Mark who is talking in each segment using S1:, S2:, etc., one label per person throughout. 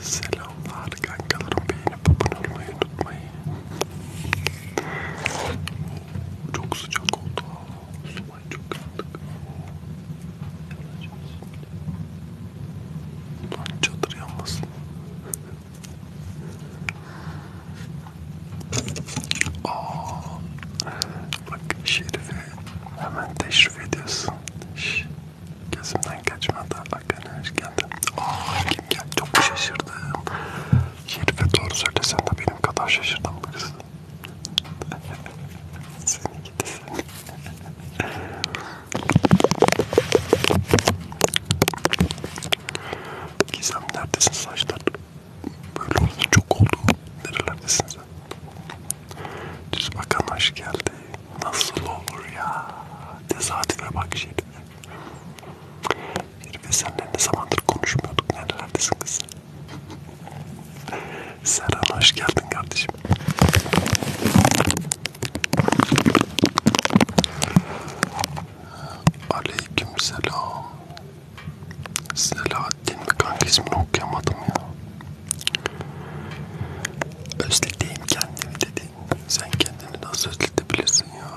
S1: Selamlar kankalarım beğenip abone olmayı unutmayın. Çok sıcak oldu. Subay çok yandık. Lan çadır yanmasın. Aa, bak şerife hemen teşrif ediyorsun. Şş. Gözümden kaçmadı. Hakan hoş geldin. Oh, kim geldi? Çok şaşırdım. Şerife doğru söylesen de benim kadar şaşırdım bu kız. Seni gidi seni. Gizem neredesin saçlar? Böyle oldu çok oldu. Nerelerdesin sen? Düz bakan hoş geldi. Nasıl olur ya? Tesadüfe bak şimdi. Herife senle ne zamandır konuşmuyorduk. Nerelerdesin kız? Serhan hoş geldin kardeşim. Aleyküm selam. Selahattin mi kanka ismini okuyamadım ya. Özledeyim kendimi dedi. Metin sen kendini nasıl ötletebilirsin ya?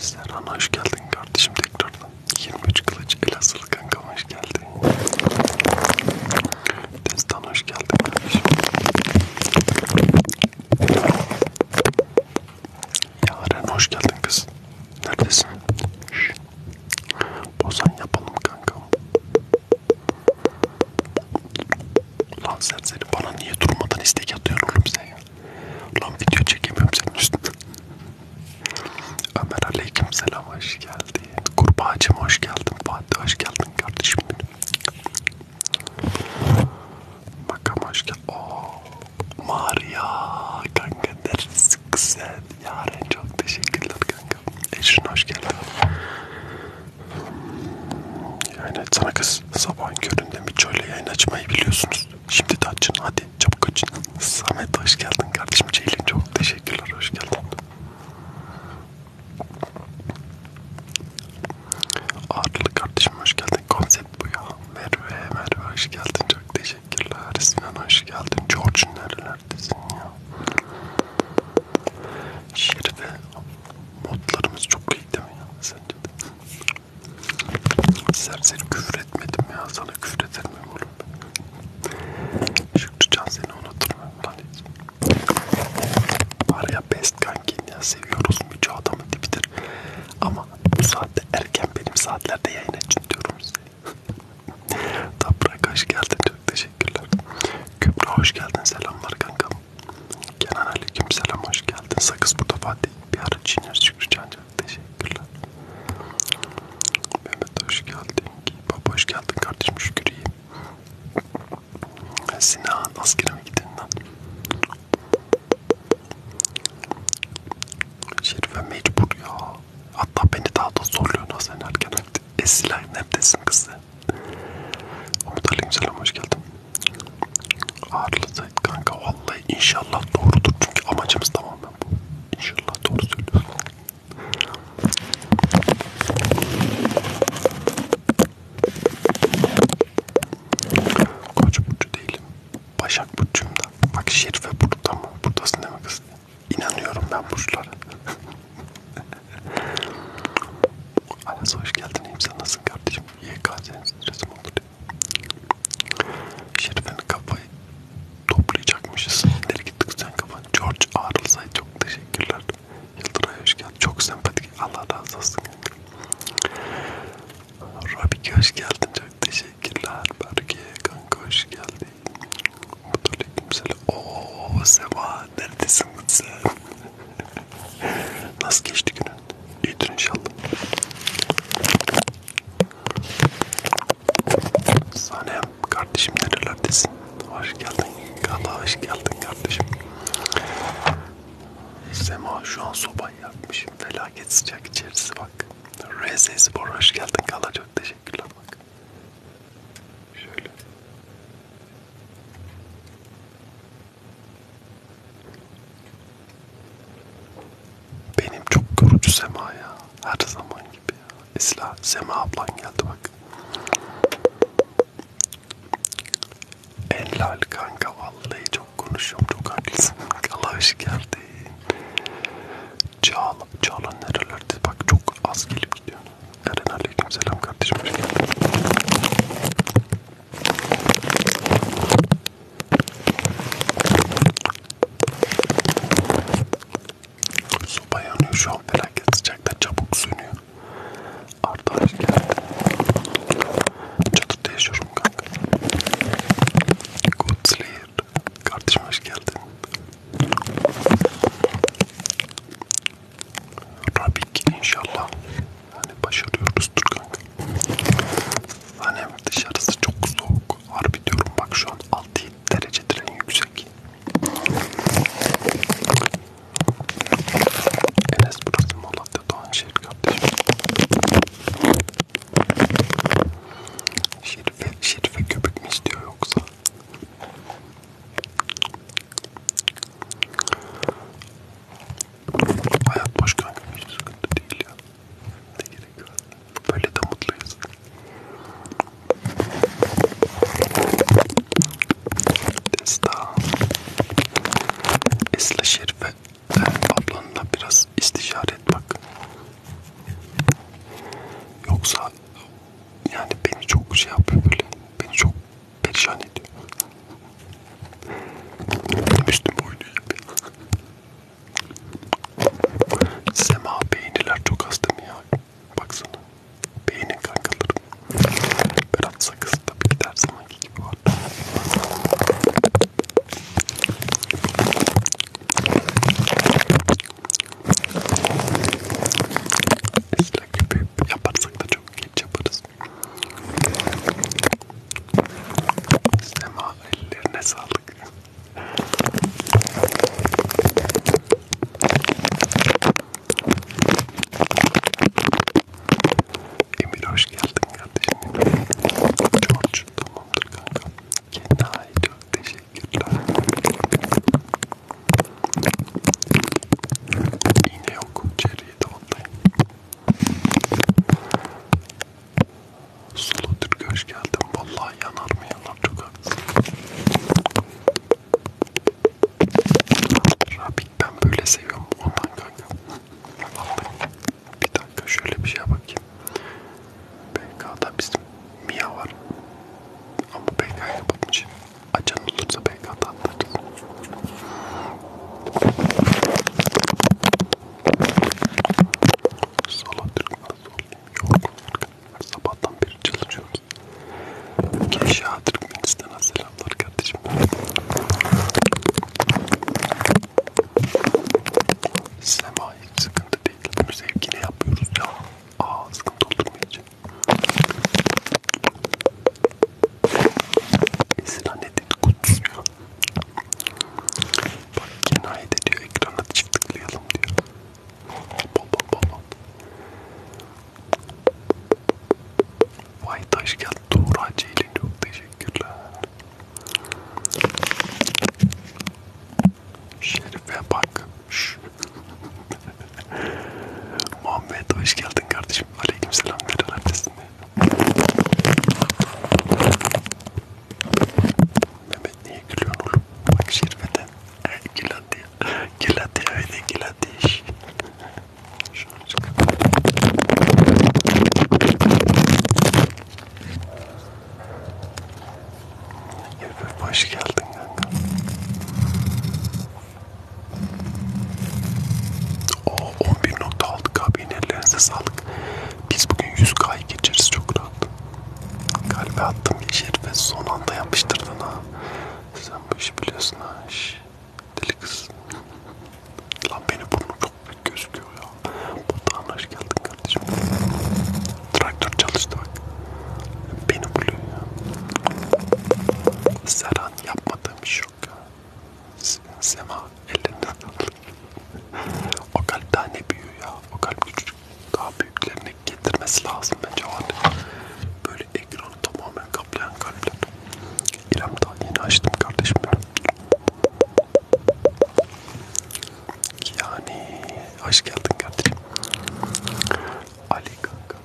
S1: Serhan hoş geldin kardeşim tekrardan. 23 kılıç Elazığlı kankam hoş geldin. Destan hoş geldin kardeşim. Yaren hoş geldin kız. Neredesin? Şş. Bozan yapalım kankam. Lan serseri bana niye durmadan istek atıyorsun oğlum sen ya? Lan video çekemiyorum senin üstünden. Ömer aleyküm selam hoş geldin. Kurbağacım hoş geldin. Fatih hoş geldin kardeşim benim. Makam hoş geldin. Ooo. Maria kanka neresi güzel. Yaren çok teşekkürler kanka. Ecrin hoş geldin. Yani sana kız sabahın köründe bir çöle yayın açmayı biliyorsunuz. Şimdi de açın hadi çabuk açın. Samet hoş geldin kardeşim. Ceylin çok teşekkürler hoş geldin. Arlı kardeşim hoş geldin. Konsept bu ya. Merve, Merve hoş geldin. Çok teşekkür Teşekkürler Sinan hoş geldin. George nerelerdesin ya? Şerife modlarımız çok iyi değil mi ya? Sence de. Serseri küfür etmedim ya. Sana küfür eder miyim oğlum? Şükrücan seni unutur mu? Lan Var ya best kankin ya. Seviyoruz mücadamı dibidir. Ama bu saatte erken benim saatlerde yayın açın diyorum size. Toprak hoş geldin çok teşekkürler. Kübra hoş geldin selamlar kankam. Kenan aleyküm selam hoş geldin. Sakız burada Fatih bir ara çiğner Şükrü Cancan teşekkürler. Mehmet hoş geldin. Baba hoş geldin kardeşim Şükür iyi. Sinan askere mi gidin lan? Şerife mecbur ya. Hatta beni daha da zorluyor Hasan erken. Esilay neredesin kızı? Umut Aleykümselam hoş geldin. Ağırladı kanka vallahi inşallah doğrudur çünkü amacımız tamamen bu. İnşallah doğru söylüyorsun. Koç burcu değilim. Başak burcuyum da. Bak Şerife burada mı? Buradasın değil mi kız? İnanıyorum ben burçlara. Aras hoş geldin. İyiyim sen nasılsın kardeşim? YK senin stresim olur diyor. Şerif'in kafayı toplayacakmışız. Nereye gittik sen kafan? George Arlsay çok teşekkürler. Yıldıray hoş geldin. Çok sempatik. Allah razı olsun. Rabik hoş geldin. Çok teşekkürler. Berke kanka hoş geldin. Aleykümselam. Ooo Seva neredesin sen? Nasıl geçti günün? İyidir inşallah. Sanem kardeşim nerelerdesin? Hoş geldin. Kala hoş geldin kardeşim. Sema şu an sobayı yakmışım. Felaket sıcak içerisi bak. RZ Spor hoş geldin Kala çok teşekkür Teşekkürler bak. Şöyle. Benim çok yorucu Sema ya. Her zaman gibi ya. Esla, Sema ablan geldi bak. Enlal kanka vallahi çok konuşuyorum çok haklısın. Allah hoş geldin. Çağla. Çağla nerelerde? Bak çok az gelip gidiyor. Eren aleyküm selam kardeşim. Hoş geldin. Soba yanıyor şu an felaket sıcakta çabuk sönüyor. Arda hoş geldin. Çadırda yaşıyorum kanka. Good sleep. Kardeşim hoş geldin. Rabik inşallah. Hani başarıyoruzdur kanka. Hani dışarısı çok soğuk. Harbi diyorum bak şu an 6 derecedir en yüksek. Enes burası Malatya Doğanşehir kardeşim. Şerife, Şerife köpük mü istiyor yoksa? Hayat boş kanka hiç şey, sıkıntı değil ya. Ne gerek var? Böyle de mutluyuz. Destan. Esla Şerife ablanla biraz istişare et bak. Yoksa yani beni çok şey yapıyor böyle. Beni çok perişan ediyor. Benim üstüme oynuyor. Sema beğeniler çok hasta mı ya? Baksana. Beğenin kankalarım. Berat Sakız tabii ki der zamanki gibi var. İşte gibi yaparsak da çok geç yaparız. Sema ellerine sağlık. Emir hoş geldin kardeşim. Çok çok tamamdır kanka. Kendine ait çok teşekkür Teşekkürler. İğne yok. Çeriye de onlayın. Sulu Türk hoş geldin. Vallahi yanar mı yanar çok haklısın. Rabik ben böyle seviyorum ondan kanka. Vallahi. Bir dakika şöyle bir şeye bakayım. BK'da bizim Mia var. Ama PK'ya bakmış. Açan olursa PK'da atlarız. Sola Türkmen sol. Yorgunlar. Sabahtan beri çalışıyoruz. Keşah Türkmenistan'a selamlar kardeşim. Sema hiç sıkıntı değil. Bunu sevgiyle yapıyoruz ya. Aa sıkıntı olur mu hiç? Esin annedin kutsuyor. Bak kenayede diyor ekrana çift tıklayalım diyor. Bol bol bol bol. Vay taş geldi Tuğra Ceylin çok teşekkürler. Şerife bak. Muhammed hoş geldin kardeşim. Aleykümselam. Neler neredesin? Mehmet niye gülüyorsun oğlum? Bak Şerife'den. Gilati. Gilati öyle gilati. Şunu çık. Hoş geldin kanka. O 11.6K beğenilerinize sağlık. Biz bugün 100K'yı geçeriz çok rahat. Kalbe attım Yeşil şey ve son anda yapıştırdın ha. Sen bu işi biliyorsun ha. Şş, deli kız. Lan beni burnu çok büyük gözüküyor ya. Batuhan hoş geldin kardeşim. Traktör çalıştı bak. Beni buluyor ya. Serhan yapmadığım iş yok ya. Sema ellerinden O kalp daha ne büyüyor ya. O kalp küçük. Daha büyüklerini getirmesi lazım bence var. Böyle ekranı tamamen kaplayan kalpler. İrem daha yeni açtım kardeşim benim. Yani hoş geldin kardeşim. Ali kanka.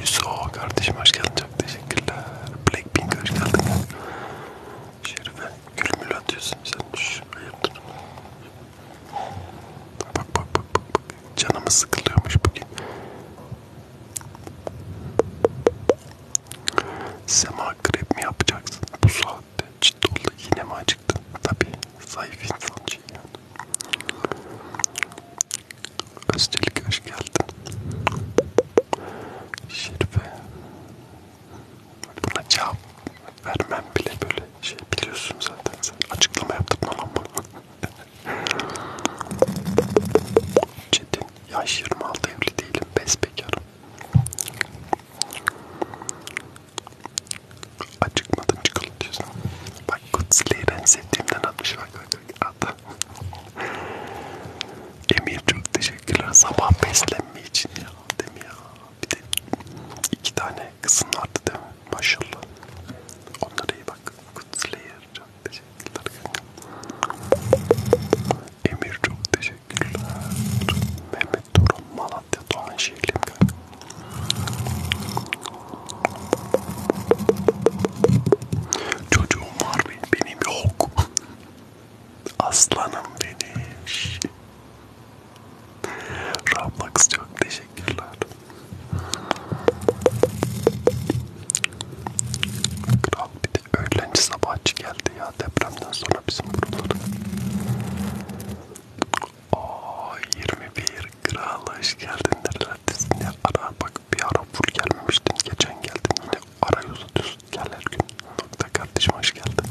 S1: Yusuf kardeşim hoş geldin çok teşekkürler. Blackpink hoş geldin. Şerife gül mül atıyorsun sen. Şş, hayırdır? Bak bak bak bak. bak. Canımız sıkılıyormuş bugün. Sema krep mi yapacaksın bu saatte? Ciddi oldu yine mi acıktın? Tabii zayıf insan şey yani. Özçelik hoş geldin. Şerife. Buna cevap vermem bile böyle şey biliyorsun zaten sen. Açıklama yaptım lan ama. Çetin. Yaş 26 evli değilim. Besbekarım. Acıkmadın çikolata diyorsun. Bak Kutsli'yi ben sevdiğimden atmış bak bak bak. At. Emir çok teşekkürler. Sabah beslenme için ya. Değil mi ya? Bir de iki tane kızın vardı değil mi? Maşallah. Onlara iyi bak. Kutslayer çok teşekkürler. Emir çok teşekkürler. Mehmet Durum Malatya Doğan Şehirli. Çocuğum var benim yok. Aslanım benim. Roblox çok teşekkürler. Kral bir de öğlenci sabahçı geldi ya depremden sonra bizim buralara. Ooo 21 kral hoş geldin nerelerdesin ya ara Bak bir ara full gelmemiştim. Geçen geldim yine arayüzü düz gel her gün. Nokta kardeşim hoş geldin.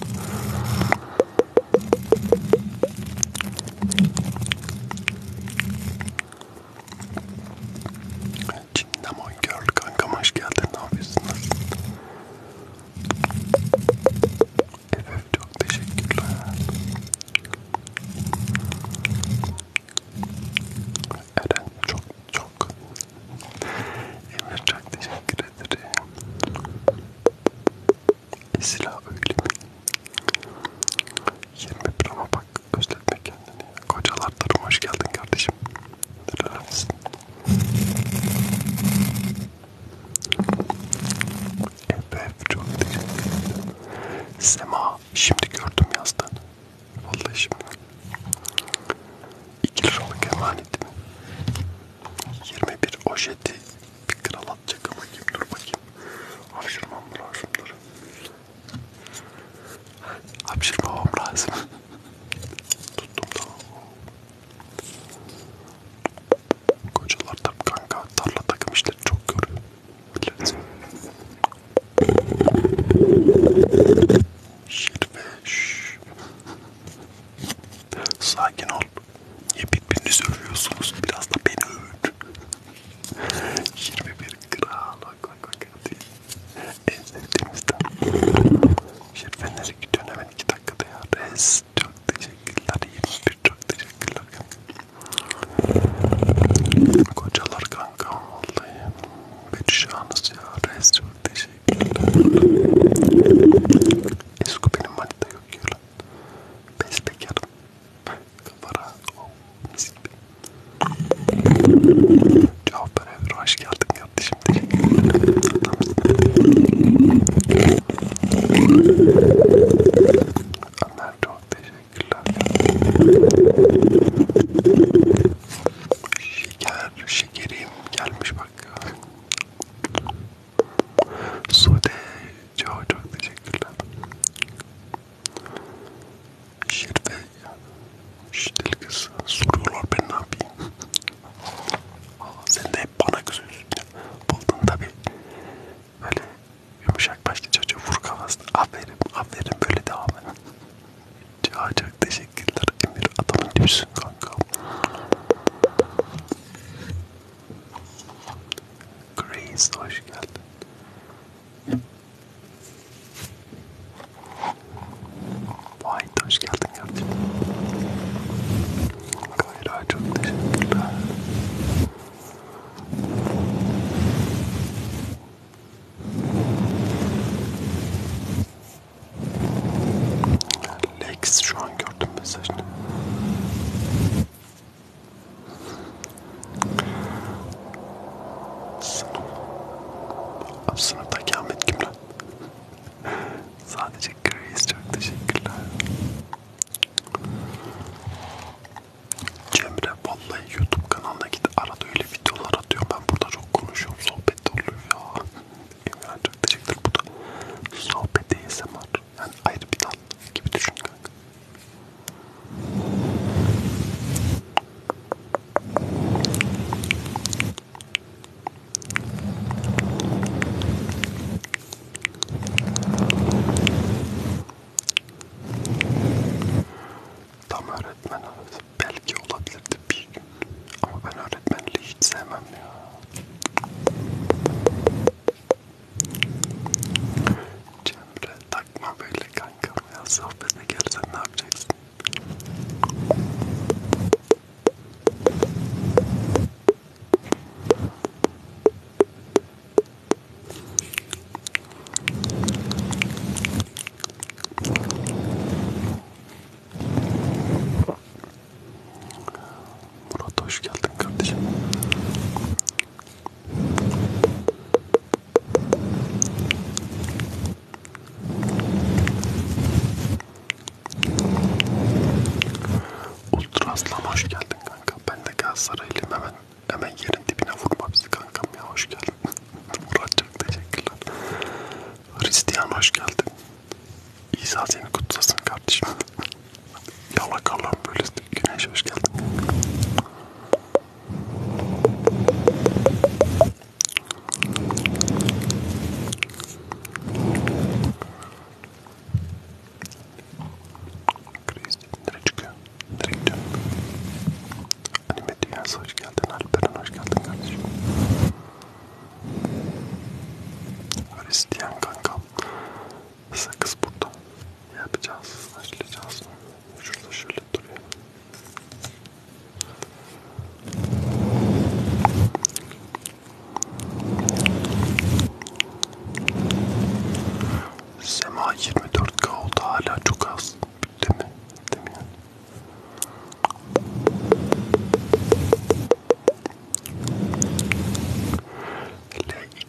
S1: Cinnamon Girl kankam hoş geldin. Ne yapıyorsunuz? Evet çok teşekkürler. Eren çok çok Emir çok teşekkür ederim. Esila öyle mi? 21 ama bak özletme kendini. Kocalar tarım hoş geldin kardeşim. Neler misin? Efef çok teşekkür ederim. Sema şimdi gördüm yazdığını. Vallahi şimdi 2 liralık emanet mi? 21 ojeti bir kral atacak bakayım dur bakayım. Hapşırmam lazım dur. Hapşırmam lazım. Tuttum tamam. Kocalar tabi kanka tarla takım işleri çok görüyor. Şirveş. Sakin ol. Niye birbirinizi övüyorsunuz? Biraz da beni övün. 21 kral. Bak bak bak. En sevdiğimizden. Şirvenleri gidiyorsun hemen 2 dakikada ya. Res. Çok teşekkürler. 21 çok teşekkürler. Kocalar kanka vallahi. Perişanız ya. Resul teşekkürler. Esko benim manita yok ya lan. Bestekarım. Kafara. Oh, mis gibi. Cevap ver Hoş geldin kardeşim. Teşekkürler. Ömer çok teşekkür Teşekkürler. Şeker, şekerim gelmiş bak. Sude, çok çok teşekkürler. Şirve, şirkeli kız soruyorlar ben ne yapayım. Aa, sen de hep bana kızıyorsun. Buldun tabi. Böyle yumuşak başlı çocuğu vur kafasına. Aferin, aferin böyle devam et. Çok çok teşekkürler Emir adamın gibisin kanka. Grace hoş geldin. Vay hoş geldin kardeşim. Kayra çok teşekkürler. Lex şu an gördüm mesajını. Sınıf. Sınıftaki Ahmet kim lan? Sadece Grace çok teşekkürler. Cemre vallahi YouTube kanalına git arada öyle videolar atıyor. Ben burada çok konuşuyorum. Sohbet oluyor ya. Emre çok teşekkürler. Bu da sohbet ASMR. Yani ayrı bir dal gibi düşün kanka tam öğretmen arası belki olabilirdi bir gün ama ben öğretmenliği hiç sevmem ya. Cemre takma böyle kanka ya sohbetine gelsen ne yapacaksın? Murat hoş geldin kardeşim. Ultraslan hoş geldin kanka. Ben de Galatasaraylıyım hemen Hemen yerin dibine vurma bizi kankam ya hoş geldin. Muratcığım teşekkürler. Hristiyan hoş geldin. İsa seni kutsasın kardeşim. Yalak Allah'ım böyle güneş hoş geldin. Kriz nereye çıkıyor? Nereye gidiyor? Anime Dünyası hoş geldin. Alperen hoş geldin kardeşim. Hristiyan kankam. Sakız burada. Yapacağız. Açlayacağız. Şurada şöyle duruyor. Sema 24k oldu hala çok az. Değil mi? Değil mi?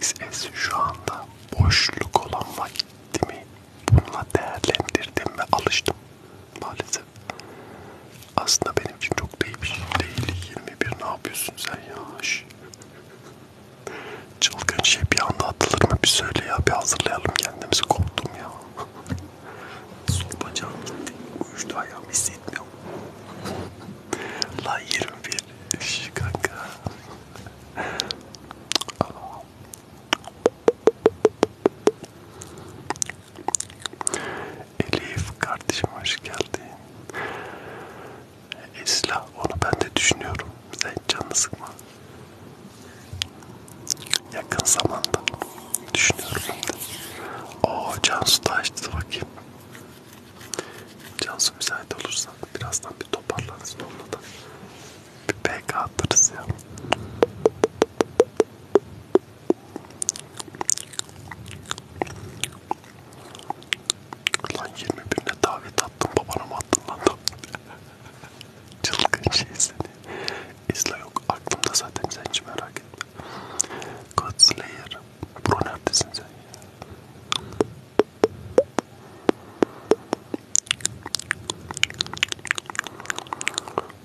S1: LXS şu anda boşluk olan vakitimi bununla değerlendirdim ve alıştım maalesef. Aslında benim için çok da iyi bir şey değil. 21 ne yapıyorsun sen ya? Şş. Çılgın şey bir anda atılır mı? Bir söyle ya bir hazırlayalım kendimizi koptu koptum ya. Sol bacağım gitti. Uyuştu ayağım hissetmiyorum. La 21 kanka. Elif kardeşim hoş geldin. Esla onu ben de düşünüyorum. Sen canını sıkma. Yakın zamanda düşünüyorum ben de. Oo Cansu da açtı bakayım. Cansu müsait olursa birazdan bir toparlarız onunla da. Bir PK atarız ya. Lan 21'ine davet attım babana mı attın lan Çılgın şey seni. İzle yok. Aklımda zaten sen hiç merak etme. God Slayer. Bro neredesin sen ya?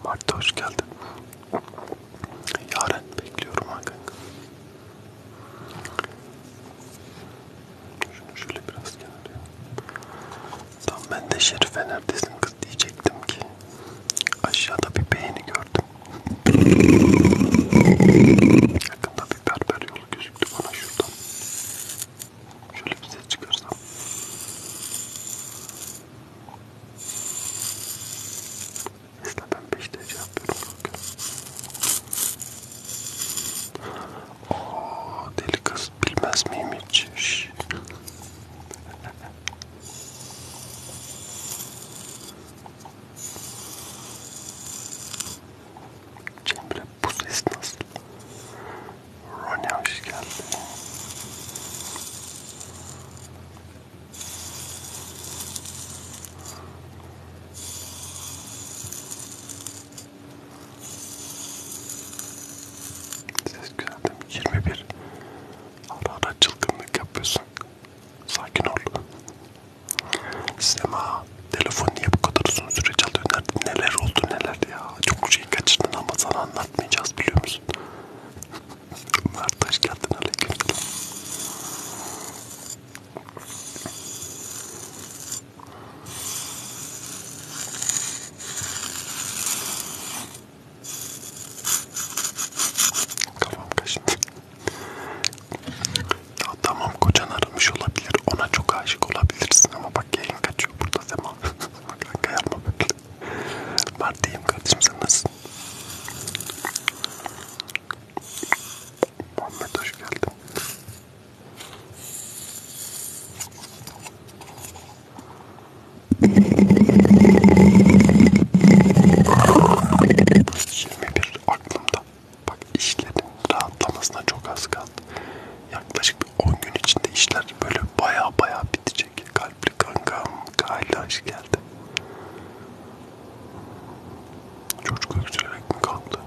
S1: Mart hoş geldin. Yarın bekliyorum ha kanka. Şunu şöyle biraz kenara. Tam ben de Şerife neredesin kız diyecektim ki aşağıda bir beğeni gördüm. Yakında bir berber yolu gözüktü bana şuradan. Şöyle bir ses çıkarsam. Mesela ben 5 derece yapıyorum. O oh, delikas bilmez miyim hiç? Cemre bu ses nasıl? Ronnie hoş geldin. Ses güzel değil mi? 21. Ara ara çılgınlık yapıyorsun. Sakin ol. Sema, telefon niye bu kadar uzun süre çalıyor? Nerede, neler oldu neler ya? Çok şey kaçırdın ama sana anlatmayacağız biliyor musun? Mert hoş geldin aleyküm. Kafam kaşındı. Ya tamam kocan aramış olabilir. Ona çok aşık olabilirsin ama bak yayın kaçıyor burada zaman. Kanka yapma böyle. Ben diyeyim kardeşim sen nasılsın? Muhammed hoş geldin. 21 aklımda. Bak işlerin rahatlamasına çok az kaldı. Yaklaşık bir 10 gün içinde işler böyle baya baya bitecek. Kalpli kankam Kaylaş geldi. Çocuk öksürerek mi kalktı?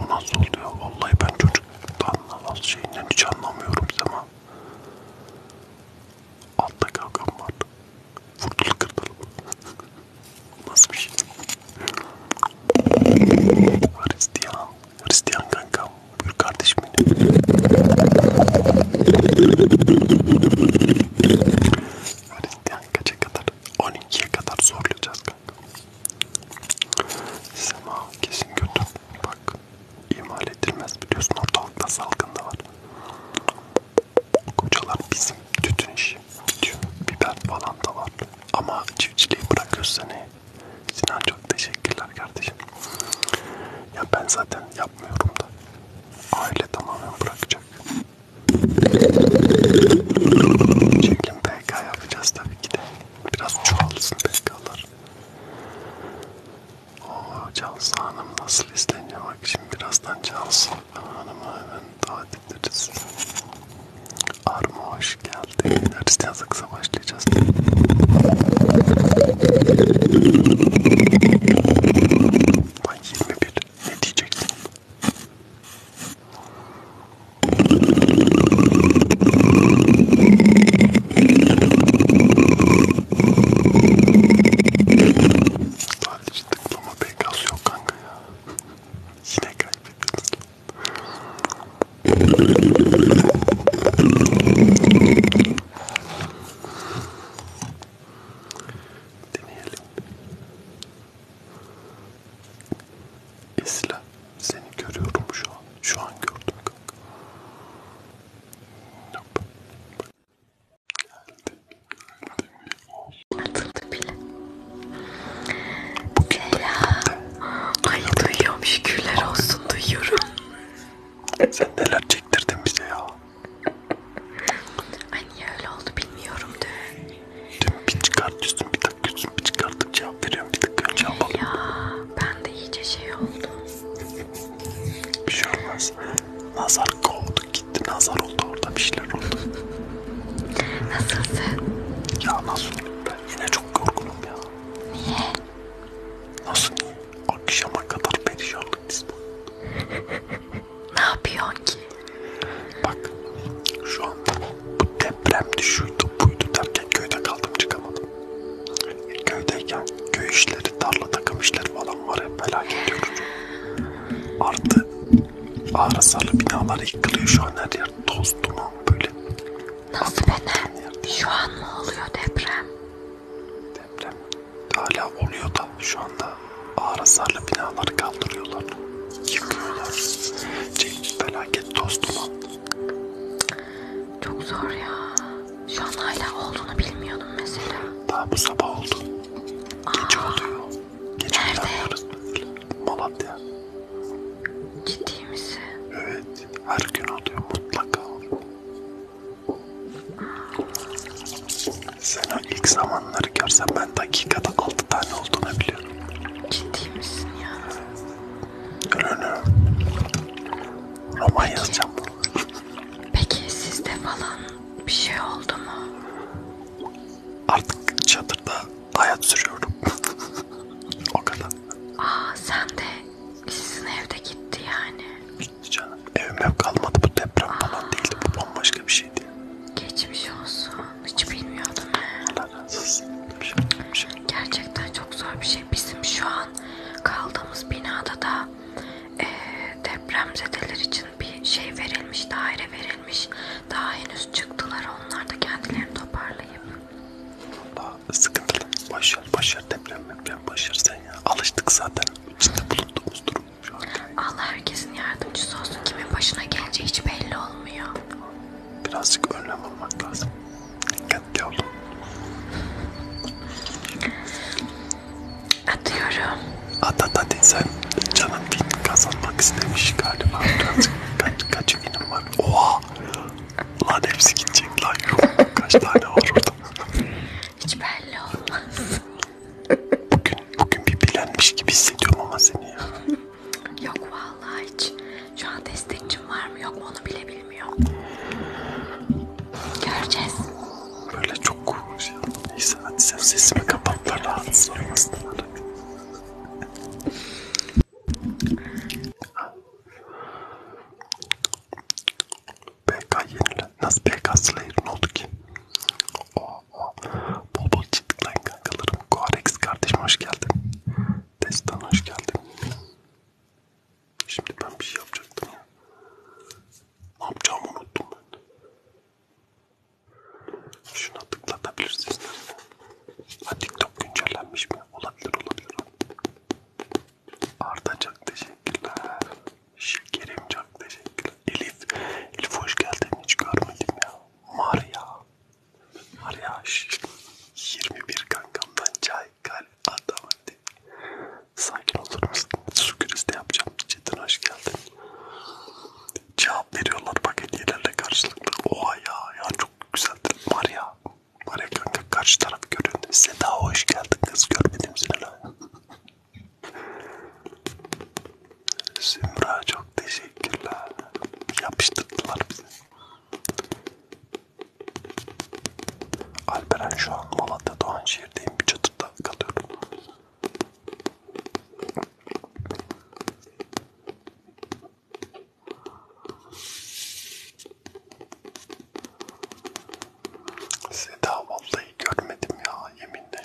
S1: O nasıl oluyor? Vallahi ben çocuktan az şeyinden hiç anlamıyorum ama Altta kavgam var. Vurdulu kırdılı. Nasıl bir şey? Hristiyan. Hristiyan kankam. Buyur kardeşim benim. Hristiyan kaça kadar? 12'ye kadar zorlayacağız kanka. Sema kesin götür. Bak imal edilmez biliyorsun ortalıkta salgında var. Kocalar bizim tütün işi, tütün, biber falan da var. Ama çiftçiliği bırakıyoruz seni. Sinan çok teşekkürler kardeşim. Ya ben zaten yapmıyorum da. Aile tamamen bırakacak. Çekim PK yapacağız tabii ki de. Biraz çoğalsın PK'lar. Oo Cansu Hanım nasıl izleniyor bak şimdi birazdan Cansu Hanım'a hemen davet ederiz. Arma hoş geldin. Hristiyan saksa başlayacağız. Ay 21 ne diyecektim? Sadece tıklama pek az yok kanka ya. Yine kaybediyoruz. Deneyelim. Esla seni görüyorum şu an. Şu an gördüm kanka. Atıldı bile. Selam. Ay duyuyorum şükürler olsun duyuyorum. Sen neler çektirdin bize ya. Ay niye öyle oldu bilmiyorum dün.
S2: Dün bir çıkartıyorsun bir takıyorsun bir çıkarttık cevap veriyorum bir takıyorum cevap alıyorum. Ya ben de iyice şey oldu. Bir şey olmaz. Nazar kovdu gitti. Nazar oldu orada bir şeyler oldu. Nasılsın? Ya nasıl
S1: ben yine çok yorgunum ya. Niye? Nasıl niye? Akşama kadar perişanlık biz bu.
S2: ne yapıyorsun ki? Bak şu an bu depremdi şuydu buydu
S1: derken köyde kaldım çıkamadım. Köydeyken köy işleri, tarla takım işleri falan var hep felaket yorucu. Artı ağır hasarlı binalar yıkılıyor şu an her yer toz duman böyle. Nasıl neden? Şu an mı oluyor deprem? Deprem hala oluyor da şu anda ağır hasarlı binalar kaldırıyorlar. Yıkıyorlar. Şey, felaket toz duman.
S2: Çok zor ya. Şu an hala olduğunu bilmiyordum mesela. Daha bu sabah oldu. Aa, Geç oldu. Geç Nerede? Malatya. Ciddi misin? Evet. Her gün oluyor mutlaka.
S1: Sen o ilk zamanları görsen ben dakikada altı tane olduğunu biliyorum. Ciddi misin ya? Ürünü. Roman yazacağım.
S2: Peki sizde falan bir şey oldu mu? Artık çadırda hayat sürüyorum. o kadar. Aa sen de sizin evde gitti yani. Gitti canım. Evim ev kalmadı bu deprem Aa. falan değildi. Bu bambaşka bir şeydi. Geçmiş olsun. Hiç bilmiyordum. Allah razı olsun. Şey, şey. Gerçekten çok zor bir şey şey bizim şu an kaldığımız binada da e, depremzedeler için bir şey verilmiş, daire verilmiş. Daha henüz çıktılar. Onlar da kendilerini toparlayıp.
S1: Valla sıkıntılı. Başar, başar deprem yapken başar sen ya. Alıştık zaten
S2: içinde bulunduğumuz durum şu an. Allah herkesin yardımcısı olsun. Kimin başına geleceği hiç belli olmuyor. Birazcık önlem almak lazım. Dikkatli olun.
S1: Atıyorum. At at at sen canım din kazanmak istemiş galiba. Birazcık kaç, kaç eminim var. Oha! Lan hepsi gidecek lan. Yok. Kaç tane var orada?
S2: Hiç belli olmaz. Bugün, bugün bir bilenmiş gibi hissediyorum ama seni ya. Yok vallahi hiç. Şu an destekçim var mı yok mu onu bile bilmiyor.
S1: Göreceğiz. Böyle çok korkunç ya. Neyse hadi sen sesimi kapat da rahatsız olmasınlar. BK yenilen. Nasıl BK Slayer ne oldu ki? Oh, oh. Bol bol çıktıklayın kankalarım. Koarex kardeşim hoş geldin. Destan hoş geldin. Şimdi ben bir şey yapacaktım ya. Ne yapacağımı unuttum ben. Şuna tıklatabilirsiniz. Ha TikTok güncellenmiş mi? Olabilir olabilir. Artacak teşekkürler. Şekerim çok teşekkürler. Elif, Elif hoş geldin hiç görmedim ya. Maria. Maria 21 kankamdan çay. Haykal Adamardi. Sakin olur musun? Su krizi yapacağım. Cidden hoş geldin. Cevap veriyorlar bak hediyelerle karşılıklı. Oha ya, ya çok güzel var ya. Var ya kanka karşı taraf görüyordu. Seda hoş geldin kız görmedim seni lan. Zümra çok teşekkürler. Yapıştırdılar bizi. Alperen şu an Malatya Doğanşehir'deyim. Bir çadırda kalıyorum. Seda vallahi görmedim ya yeminle.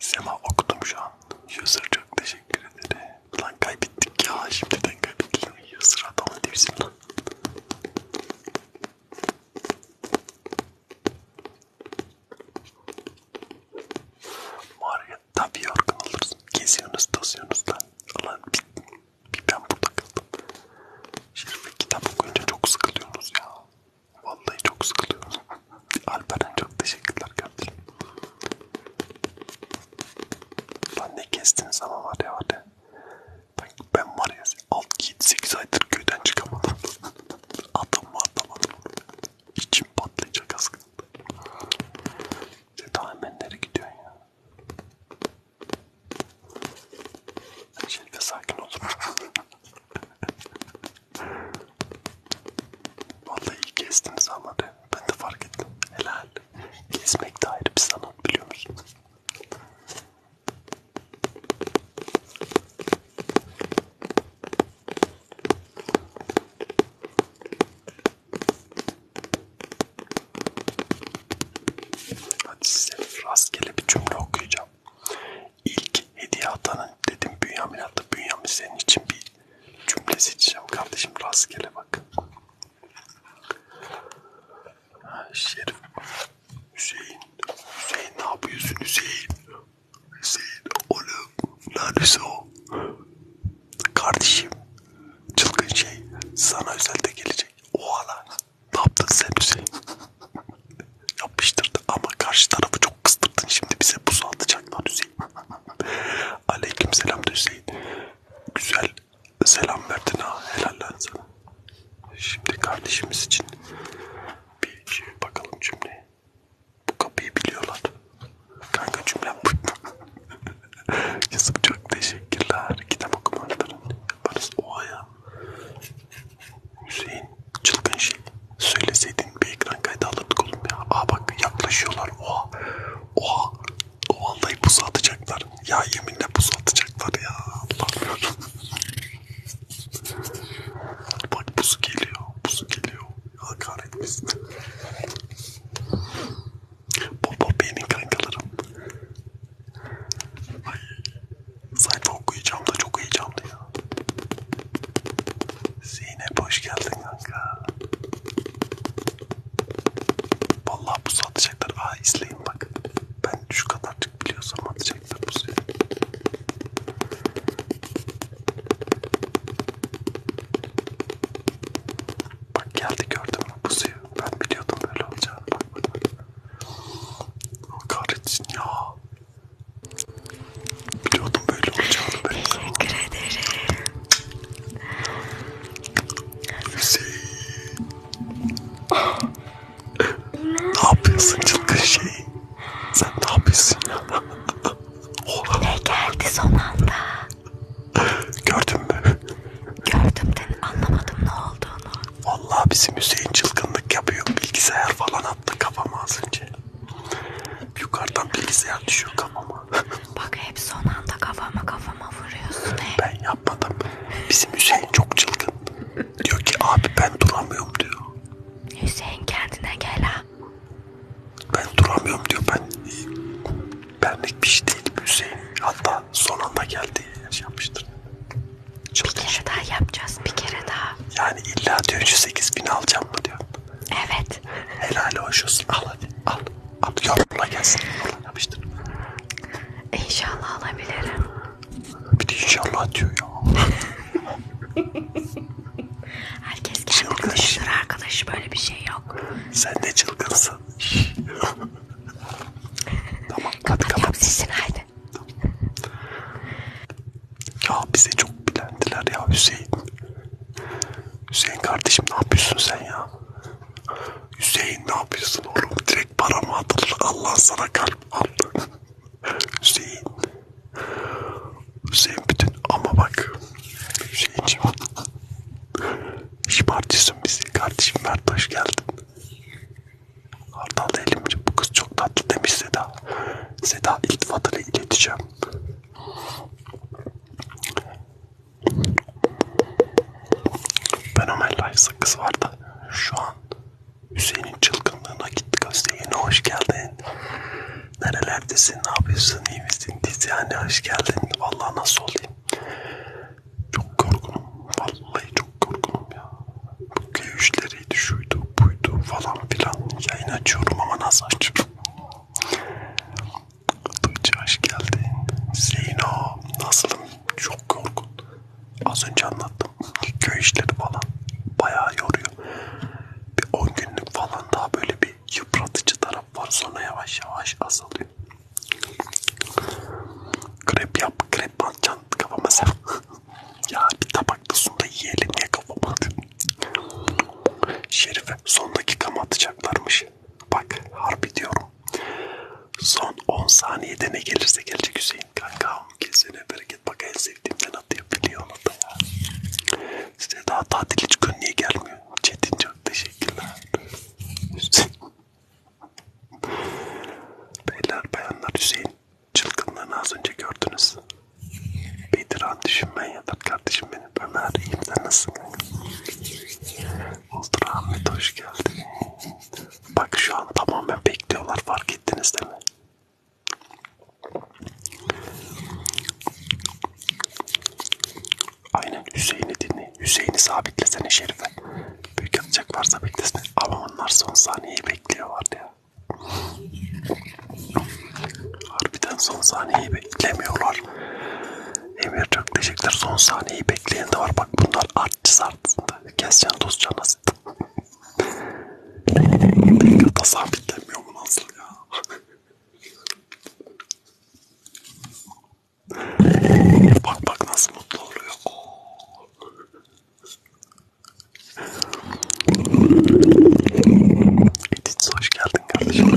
S1: Sema okudum şu an. User çok teşekkür ederim. Lan kaybettik ya şimdiden kaybettik. User adamın devsinden. Var ya tabii yorgun olursun. Geziyorsunuz tozuyorsunuz lan. Ulan bir, bir ben burada kaldım. Şerife kitap okuyunca çok sıkılıyorsunuz ya. Vallahi çok sıkılıyorum. Alperen çok teşekkürler kardeşim. Lan ne kestiniz ama var ya hadi. Ben var ya alt 7-8 aydır köyden çıkamadım. Adam var atamadım. İçim patlayacak aslında. Sen daha hemen nereye gidiyorsun ya? Şerife sakin ol. Vallahi iyi gezdiniz ama ben de fark ettim. Helal. Gezmek de ayrı bir sanat biliyor musun? Hadi size rastgele bir cümle okuyacağım. İlk hediye atanın dedim Bünyamin attı. Bünyamin senin için bir cümle seçeceğim kardeşim. Rastgele bak. Şerif. Hüseyin. Hüseyin ne yapıyorsun Hüseyin? Hüseyin oğlum. Neredeyse o. Kardeşim. Çılgın şey. Sana özelde gelecek. O ala. Ne yaptın sen Hüseyin? Yapıştırdı ama karşı tarafı çok kıstırdın. Şimdi bize buz atacaklar Hüseyin. Aleyküm selam Hüseyin. Güzel selam verdin ha. Helal sana. Şimdi kardeşimiz için bir şey bakalım cümleye. Bu kapıyı biliyorlar. Kanka cümlem bu. Kızım çok teşekkürler. Kitap okumalarını yaparız. Oha ya. Hüseyin çılgın şey. Söyleseydin bir ekran kaydı alırdık oğlum ya. Aa bak yaklaşıyorlar. Oha. Oha. Vallahi pusu atacaklar. Ya yeminle pusu atacaklar ya. Allah'ım Bak pusu geliyor. Pusu geliyor. Ya kahretmesin. Bobo benim kankalarım. Ay. Sayfa okuyacağım da çok heyecanlı ya. Zeynep hoş geldin kanka. Vallahi pusu atacaklar anlatacaklar. Aa izleyin bak. Ben şu kadarcık biliyorsam atacaklar bu sene. Bak geldi gördün mü bu suyu? Ben biliyordum böyle olacağını. Bak bak bak. Allah kahretsin ya. Biliyordum böyle olacağını. Ben Teşekkür ederim. Hüseyin ne yapıyorsun çılgın şey? Sen ne yapıyorsun ya? Ne geldi
S2: son anda? Gördün mü? Gördüm de anlamadım ne olduğunu. Vallahi bizim Hüseyin çılgınlık yapıyor. Bilgisayar falan attı kafama az önce. Yukarıdan bilgisayar düşüyor kafama. Bak hep son anda kafama kafama vuruyorsun hep. Ben ya yapmadım. Bizim Hüseyin çok çılgın. Diyor ki abi ben duramıyorum diyor. Hüseyin kendine gel ha. Ben duramıyorum diyor. Ben benlik bir şey değil Hüseyin. Hatta son anda geldi şey yapmıştır. Çılgın. Bir kere daha yapacağız. Bir kere daha.
S1: Yani illa diyor 8 bin alacağım mı diyor. Evet. Helal hoş olsun. Al hadi al.
S2: Al yorumla gelsin. Yapıştır. İnşallah alabilirim. Bir de inşallah diyor ya. Herkes kendi Çılgın. düşünür arkadaş böyle bir şey yok. Sen de çılgınsın. tamam hadi kapat. Kapatıyorum sesini haydi.
S1: Ya bize çok bilendiler ya Hüseyin. Hüseyin kardeşim ne yapıyorsun sen ya? Hüseyin ne yapıyorsun oğlum? Direkt paramı atılır. Allah sana kalp aldı. Hüseyin. Hüseyin bütün ama bak. Hüseyin'cim. Şımartıyorsun bizi. Kardeşim Mert hoş geldin. Hardal elimci bu kız çok tatlı demiş Seda. Seda iltifatını ileteceğim. Fenomen Life sakız vardı. Şu an Hüseyin'in çılgınlığına gitti Hüseyin'e hoş geldin. Nerelerdesin, ne yapıyorsun, iyi misin? Dizyane hoş geldin. Vallahi nasıl olayım? Çok korkunum. Vallahi çok korkunum ya. Bu köyüşleriydi, şuydu, buydu falan filan. Yayın açıyorum ama nasıl açıyorum? Tuğçe hoş geldin. Zeyno nasılım? Çok korkun. Az önce anlattım. Köy işleri falan bayağı yoruyor. Bir 10 günlük falan daha böyle bir yıpratıcı taraf var. Sonra yavaş yavaş azalıyor. Krep yap, krep atacaksın kafama sen. ya bir tabakta sonda yiyelim ya kafama Şerife son dakika mı atacaklarmış? Bak harbi diyorum. Son 10 saniyede ne gelirse gelecek Hüseyin kanka. Kesene bereket bak en sevdiğimden atıyor biliyor onu da ya. Size daha tatil hiç gün niye gelmiyor? Çetin çok teşekkürler. Hüseyin. Beyler bayanlar Hüseyin çılgınlığını az önce gördünüz. Bediran düşünmen yatar kardeşim benim. Ömer iyiyim sen nasılsın? Ultra Ahmet hoş geldin. Bak şu an tamamen bekliyorlar fark ettiniz değil mi? Aynen Hüseyin'i dinle. Hüseyin'i sabitlesene Şerife. Büyük atacak varsa beklesin. Ama onlar son saniyeyi bekliyorlar ya. Harbiden son saniyeyi beklemiyorlar. Emir çok teşekkürler. Son saniyeyi bekleyen de var. Bak bunlar artçı sartısında. Keseceğin toz çalası. Kata sabitlenmiyor mu nasıl ya? bak bak nasıl mutlu oluyor. Edith hoş geldin kardeşim.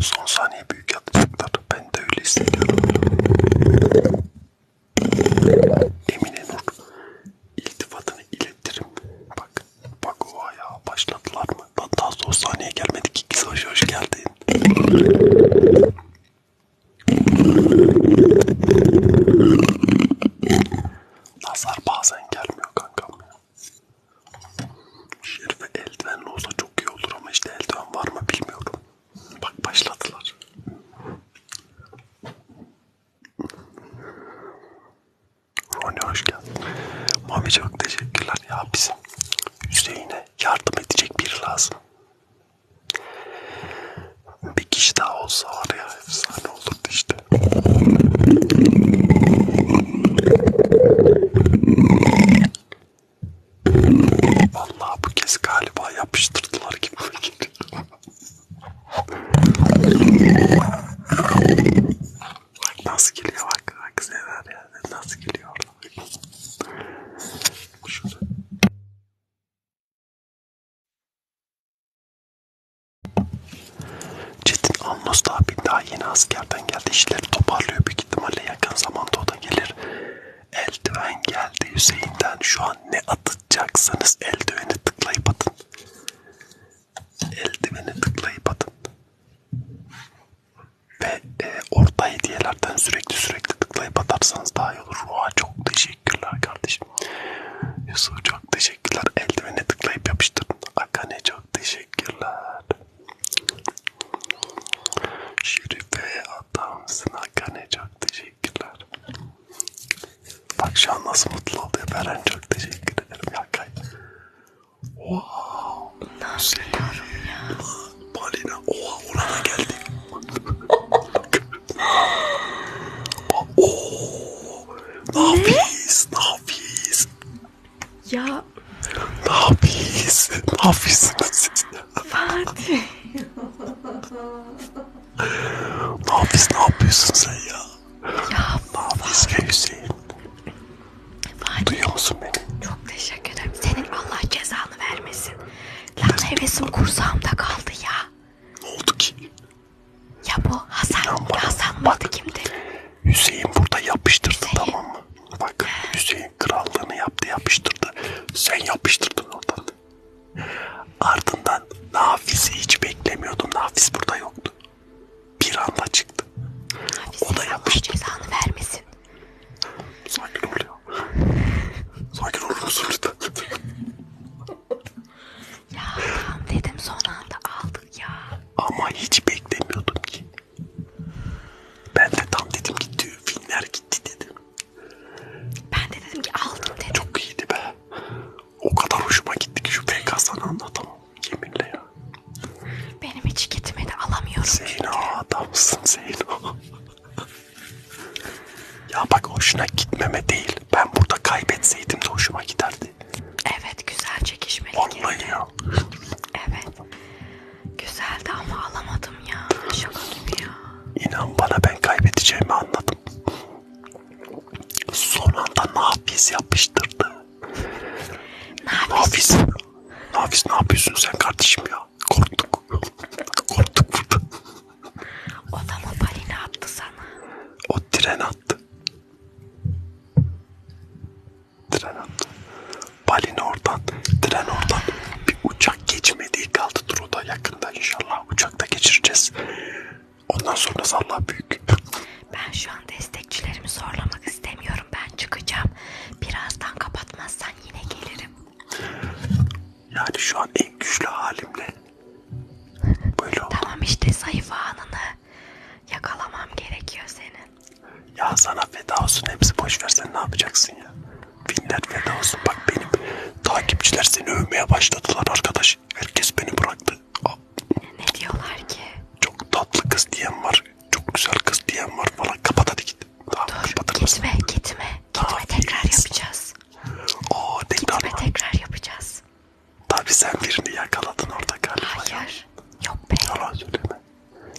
S1: Son saniye büyük yapacaklar. Ben ben de öyle hissediyorum. Emine Nur, iltifatını iletirim. Bak, bak o ayağa başladılar mı? Lan daha son sahneye gelmedik ki. Hoş, hoş geldin. Nazar bazen gelmiyor kankam ya. Şerife eldivenli olsa çok iyi olur ama işte eldiven var mı bilmiyorum. Bak başladılar. Roni hoş geldin. Mami çok teşekkürler ya bizim Hüseyin'e yardım edecek biri lazım. Bir kişi daha olsa var ya efsane olurdu işte. Vallahi bu kez galiba yapıştırdılar gibi. bak nasıl geliyor bak. Bak sever ya. Nasıl geliyor orada. Şurada. Çetin Alnos abi daha yeni askerden geldi. İşleri toparlıyor büyük ihtimalle yakın zamanda o da gelir. Eldiven geldi Hüseyin'den. Şu an ne atacaksanız eldiveni tıklayıp atın. Eldiveni tıklayıp atın. Ve e, orta hediyelerden sürekli sürekli tıklayıp atarsanız daha iyi olur. Ruha çok teşekkürler kardeşim. Yusuf çok teşekkürler. Eldiveni tıklayıp yapıştırın. Akane çok teşekkürler. Şirife'ye atarsına Gane çok teşekkürler. Bak şu an nasıl mutlu oluyor Beren çok teşekkür ederim ya kay. Wow. Nasıl ya? Balina. Oha orana geldi.
S2: Oo. Nafis, nafis. Ya. Nafis, nafisiniz siz. Fatih. ne yapıyorsun, ne yapıyorsun sen ya? Ya ne yapıyorsun Hüseyin? Fatih. Duyuyor musun beni? Çok teşekkür ederim. Senin Allah cezanı vermesin. Lan hevesim kursağımda kaldı ya. Ne oldu ki? Ya bu Hasan, ya bak, Hasan bak. mıydı kimdi? Hüseyin burada yapıştırdı Hüseyin. tamam mı? Bak Hüseyin
S1: krallığını yaptı yapıştırdı. Sen yapıştırdın oradan. Ardından
S2: Nafis'i hiç beklemiyordum. Nafis burada yoktu. Bir anda çıktı. Nafis o da yapıştı. cezanı vermesin. Sakin ol ya. Sakin olur musun lütfen? ya dedim son anda aldık ya. Ama hiç beklemiyordum ki.
S1: Ben de tam dedim gitti filmler gitti dedim. Ben de dedim ki aldım
S2: dedim. Çok iyiydi be. O kadar hoşuma gitti ki şu PKS'ını anlatamam. Yeminle ya. Benim hiç gitmedi alamıyorum. Zeyno adamsın Zeyno. ya bak hoşuna gitmeme değil. Ben burada
S1: kaybetseydim
S2: de hoşuma giderdi. Evet güzel çekişmeli. Vallahi girdi. ya. Evet. Güzeldi ama alamadım ya. Şaka gibi ya. İnan bana
S1: ben kaybedeceğimi anladım. Son anda Nafiz yapıştırdı. Nafiz. Nafiz ne yapıyorsun sen kardeşim ya? Korktuk. Korktuk burada. O da mı balini attı sana? O tren attı. Tren attı. Balin oradan, tren oradan. Bir uçak geçmediği
S2: kaldı Truda yakında inşallah. Uçakta geçireceğiz. Ondan sonrası Allah büyük. Ben şu an destekçilerimi zorlamak istemiyorum. Ben çıkacağım. Birazdan kapatmazsan yine gelirim. Yani şu an en güçlü halimle böyle oldu. Tamam işte zayıf anını yakalamam gerekiyor senin. Ya sana feda olsun hepsi boş ver sen ne yapacaksın ya?
S1: Binler feda olsun. Bak benim takipçiler seni övmeye başladılar arkadaş. Herkes beni
S2: bıraktı. Aa. Ne diyorlar ki? Çok tatlı kız diyen var. Çok güzel kız diyen var falan. Kapat hadi git. Tamam, Dur gitme gitme. Gitme Aa, tekrar yes. yapacağız. Aa, tekrar gitme mı? tekrar yapacağız. Tabii sen birini yakaladın orada
S1: galiba. Hayır. Ya. Yok be. Yalan söyleme.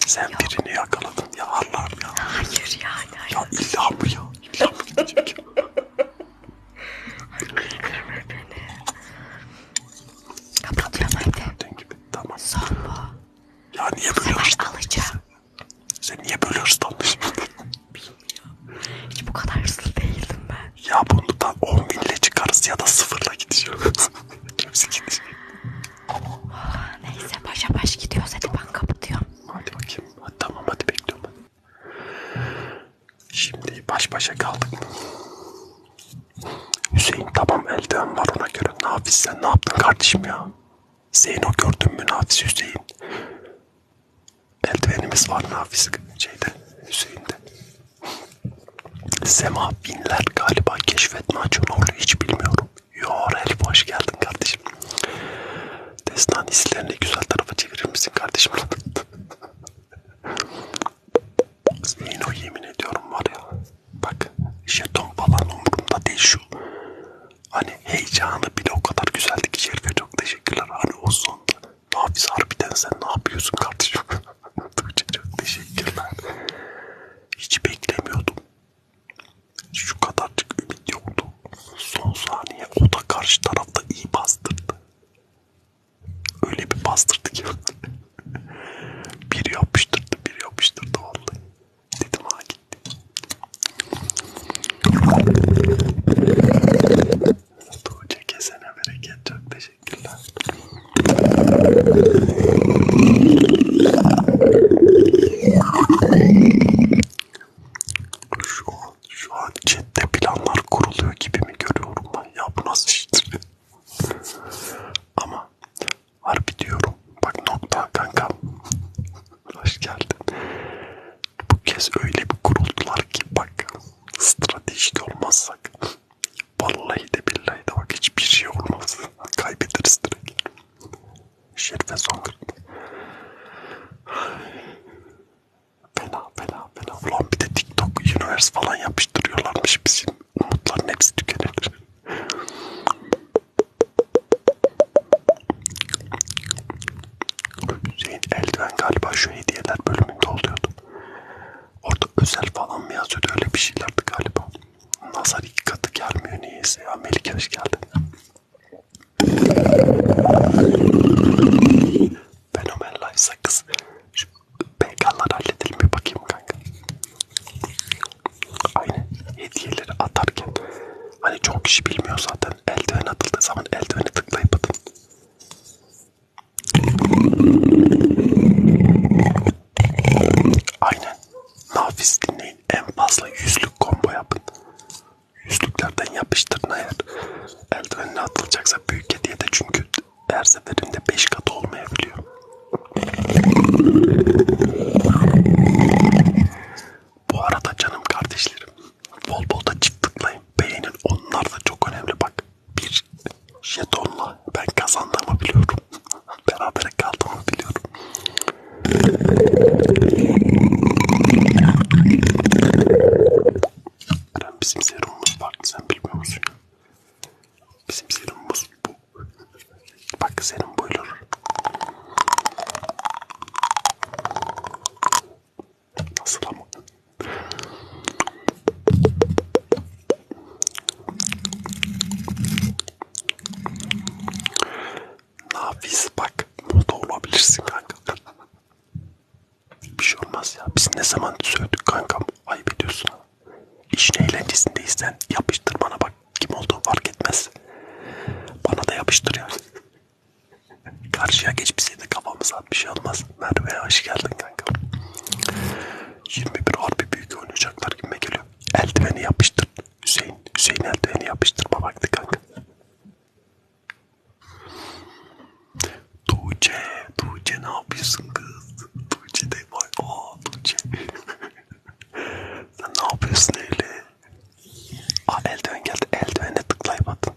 S1: Sen Yok. birini yakaladın ya Allah'ım ya. Hayır ya. Hayır. Ya illa mı ya? İlla mı gidecek ya? Kırma beni.
S2: Kapatıyorum hadi. Dün gibi tamam. Son bu. Ya niye böyle hırslandın? alacağım. Sen niye böyle hırslandın? Bilmiyorum. Hiç bu kadar
S1: hırslı değildim ben. Ya bunu da 10 binle
S2: çıkarız ya da sıfırla gideceğiz. Kimse gidecek. Oh, neyse başa baş gidiyoruz hadi ben kapatıyorum. Hadi bakayım. Hadi, tamam hadi bekliyorum ben. Şimdi baş başa kaldık mı?
S1: Hüseyin tamam eldiven var ona göre. Nafiz sen ne yaptın kardeşim ya? Zeyno gördün mü Nafiz Hüseyin? Eldivenimiz var Nafiz şeyde Hüseyin'de. Sema binler galiba keşfetme açın oluyor hiç bilmiyorum. Yor Elif hoş geldin kardeşim. Destan hislerini güzel tarafa çevirir misin kardeşim? Zeyno yemin ediyorum var ya. Bak jeton falan umurumda değil şu. Hani heyecanı bile o kadar güzeldi ki Şerife çok teşekkürler. Hani o sonda. Nafiz harbiden sen ne yapıyorsun kardeşim? Tuğçe çok teşekkürler. Hiç beklemiyordum. Şu kadarcık ümit yoktu. Son saniye o da karşı tarafta iyi bastırdı. Öyle bir bastırdı ki. biri yapıştırdı, biri yapıştırdı vallahi. Dedim ha gitti. Tuğçe kesene bereket. Çok teşekkürler. Şu an, şu an chatte planlar kuruluyor gibi mi görüyorum ben ya bu nasıl iştir? Ama harbi diyorum bak nokta kanka hoş geldin. Bu kez öyle bir kuruldular ki bak stratejik olmazsak vallahi de billahi de bak hiçbir şey olmaz kaybederiz direkt. Şir ve Songül. Fena fena fena. Ulan bir de TikTok Universe falan yapıştırıyorlarmış bizim umutların hepsi tükenilir. Hüseyin eldiven galiba şu hediyeler bölümünde oluyordu. Orada özel falan mı yazıyordu öyle bir şeylerdi galiba. Nazar iki katı gelmiyor niyeyse ya. Melike hoş geldin. Fenomen live sakız. Şu PK'lar halledelim bir bakayım kanka. Aynı hediyeleri atarken hani çok kişi bilmiyor zaten eldiven atıldığı zaman eldiveni tıklayıp atın. Aynen. Nafis dinleyin. En fazla yüzlük combo yapın yüzlüklerden yapıştırın eğer eldivenle atılacaksa büyük hediye de çünkü her seferinde 5 kat olmayabiliyor. Bu arada canım kardeşlerim bol bol da çift tıklayın beğenin onlar da çok önemli bak bir jetonla ben kazandığımı biliyorum berabere kaldığımı biliyorum Eren bizim serumumuz farklı sen bilmiyor musun ya? Bizim serumumuz bu. Bak serum buyulur. Nasıl ama? Nafiz bak. Moda olabilirsin kanka. Bir şey olmaz ya. Biz ne zaman sövdük kankam. Ayıp ediyorsun. İşin eğlencesindeysen yapıştır bana bak. Kim olduğu fark etmez. Bana da yapıştır ya. Karşıya geç bize kafamıza bir şey olmaz. Merve'ye hoş geldin kanka. 21 harbi büyük oynayacaklar gibime geliyor. Eldiveni yapıştır. Hüseyin, Hüseyin eldiveni yapıştırma baktı kanka. Tuğçe, Tuğçe ne yapıyorsun kız? Tuğçe de var. Aa Tuğçe. Sen ne yapıyorsun öyle? Aa eldiven geldi. Eldivene tıklayıp atın.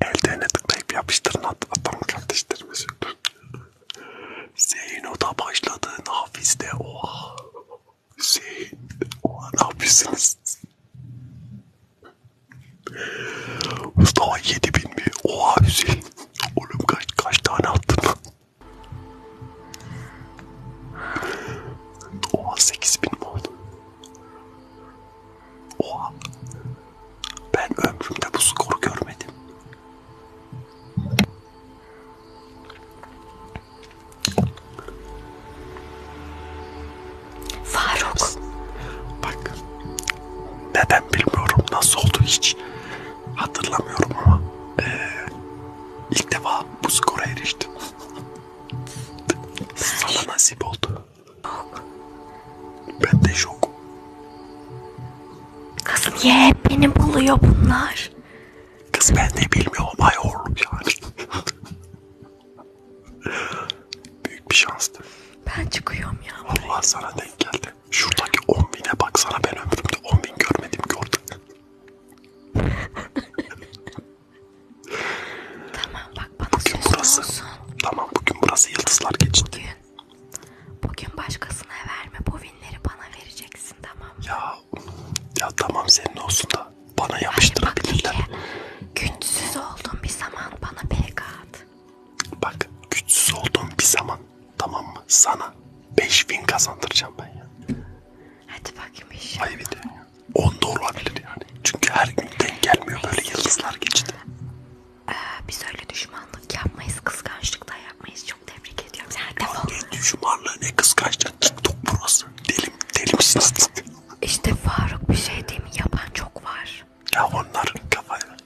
S1: Eldivene tıklayıp yapıştırın at. Atam kardeşlerimiz. Zeyno da başladı. Nafis de. Oha şey oha ne yapıyorsunuz? Mustafa 7000 mi? Oha Hüseyin. Oğlum kaç, kaç tane attın? Oha 8000 mi oldu? Oha. Ben ömrümde bu skoru görmedim. Faruk. Bak. Neden bilmiyorum. Nasıl oldu hiç hatırlamıyorum ama. Ee, ilk defa bu skora eriştim. Sana nasip oldu. Şok. Ben de şok.
S2: Kız niye hep beni buluyor bunlar? Kız ben de bilmiyorum ayol yani.
S1: Büyük bir şanstı. Ben çıkıyorum ya. Allah sana denk geldi. Şuradaki 10 bine baksana ben ömrümde 10 bin görmedim gördüm.
S2: tamam bak bana bugün burası, olsun. Tamam bugün burası yıldızlar geçti. Bugün, bugün başkasına verme bu vinleri bana vereceksin tamam mı? Ya ya tamam senin olsun da bana yapıştırabilirler. Güçsüz oldun bir zaman bana PK at. Bak güçsüz oldun bir
S1: zaman tamam mı? Sana 5000 kazandıracağım ben ya.
S2: Hadi bakayım inşallah. Ayıp ediyor ya. 10 da olabilir yani. Çünkü her gün denk gelmiyor böyle yıldızlar geçti. Ee, biz öyle düşmanlık yapmayız, kıskançlık da yapmayız. Çok tebrik ediyorum. Sen de Ne düşmanlığı ne kıskançlık. TikTok burası. Delim, deli misiniz? İşte Faruk bir şey değil mi? Yapan çok var. Ya onların kafayla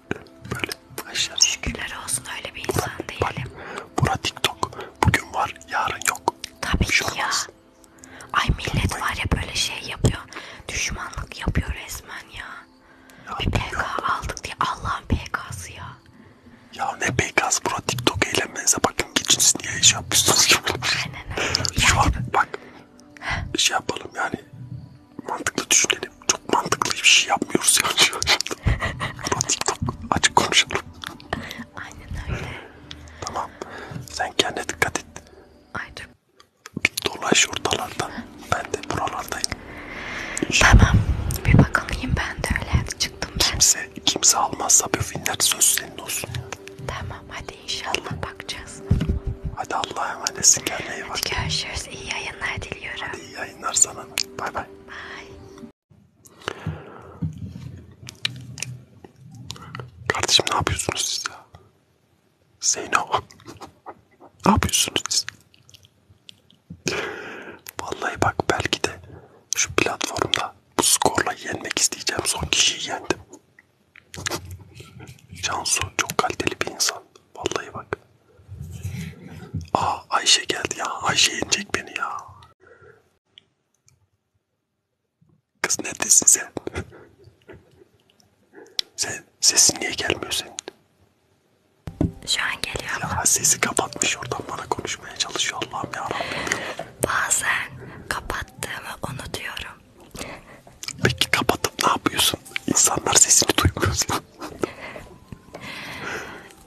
S2: böyle başlar. Şükürler olsun öyle bir insan bura, değilim. Bak, bura TikTok. Bugün var yarın yok. Tabii şey ki ya. Olmaz. Ay millet Olmayın. var ya böyle şey yapıyor. Düşmanlık yapıyor resmen ya. ya bir PK yok. aldık diye Allah'ın PK'sı ya. Ya ne PK'sı bura TikTok eğlenmenize bak gün geçiniz niye iş yapmışsınız
S1: ki? Şu an bak şey yapalım yani mantıklı düşünelim. Çok mantıklı bir şey yapmıyoruz yani. Bu TikTok açık konuşalım. Aynen öyle. Tamam. Sen kendine dikkat et. Aynen. Bir dolaş ortalarda. Ben de buralardayım.
S2: Tamam. Bir bakayım ben de öyle çıktım ben. Kimse, kimse almazsa bu filmler söz senin olsun. Tamam hadi İnşallah bakacağız. Hadi Allah'a emanetsin kendine iyi bak. Hadi görüşürüz. İyi yayınlar diliyorum. Hadi iyi yayınlar sana. Bay bay. Bay.
S1: Kardeşim ne yapıyorsunuz siz ya? Zeyno. ne yapıyorsunuz siz? Vallahi bak belki de şu platformda bu skorla yenmek isteyeceğim son kişiyi yendim. Cansu çok kaliteli bir insan. Vallahi bak. Aa Ayşe geldi ya. Ayşe yenecek beni ya. Kız neredesin sen? sen sesin niye gelmiyor senin?
S2: Şu an geliyor Ya sesi kapatmış oradan bana konuşmaya çalışıyor Allah'ım ya Rabbim. Bazen kapat kapattığımı unutuyorum. Peki kapatıp ne yapıyorsun? İnsanlar sesini duymuyor.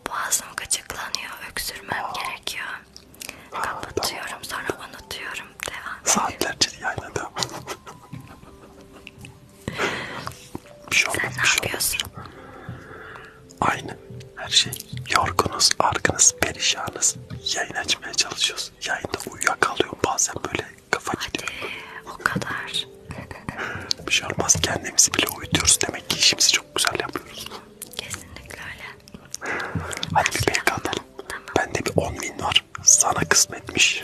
S2: Boğazım gıcıklanıyor, öksürmem Aa. gerekiyor. Ha, Kapatıyorum tamam. sonra unutuyorum. Devam. Saatlerce yayla devam. bir şey olmaz, Sen ne şey yapıyorsun? Olmaz.
S1: Aynı her şey. Yorgunuz, argınız, perişanız. Yayın açmaya çalışıyoruz musunuz? Yayında uyuyakalıyorum bazen böyle kafa Hadi, gidiyor. o kadar. Bir şey olmaz kendimizi bile uyutuyoruz. Demek ki işimizi çok güzel yapıyoruz. Kesinlikle öyle.
S2: Hadi ben bir pek atalım. Tamam. Bende bir 10 bin var. Sana kısmetmiş.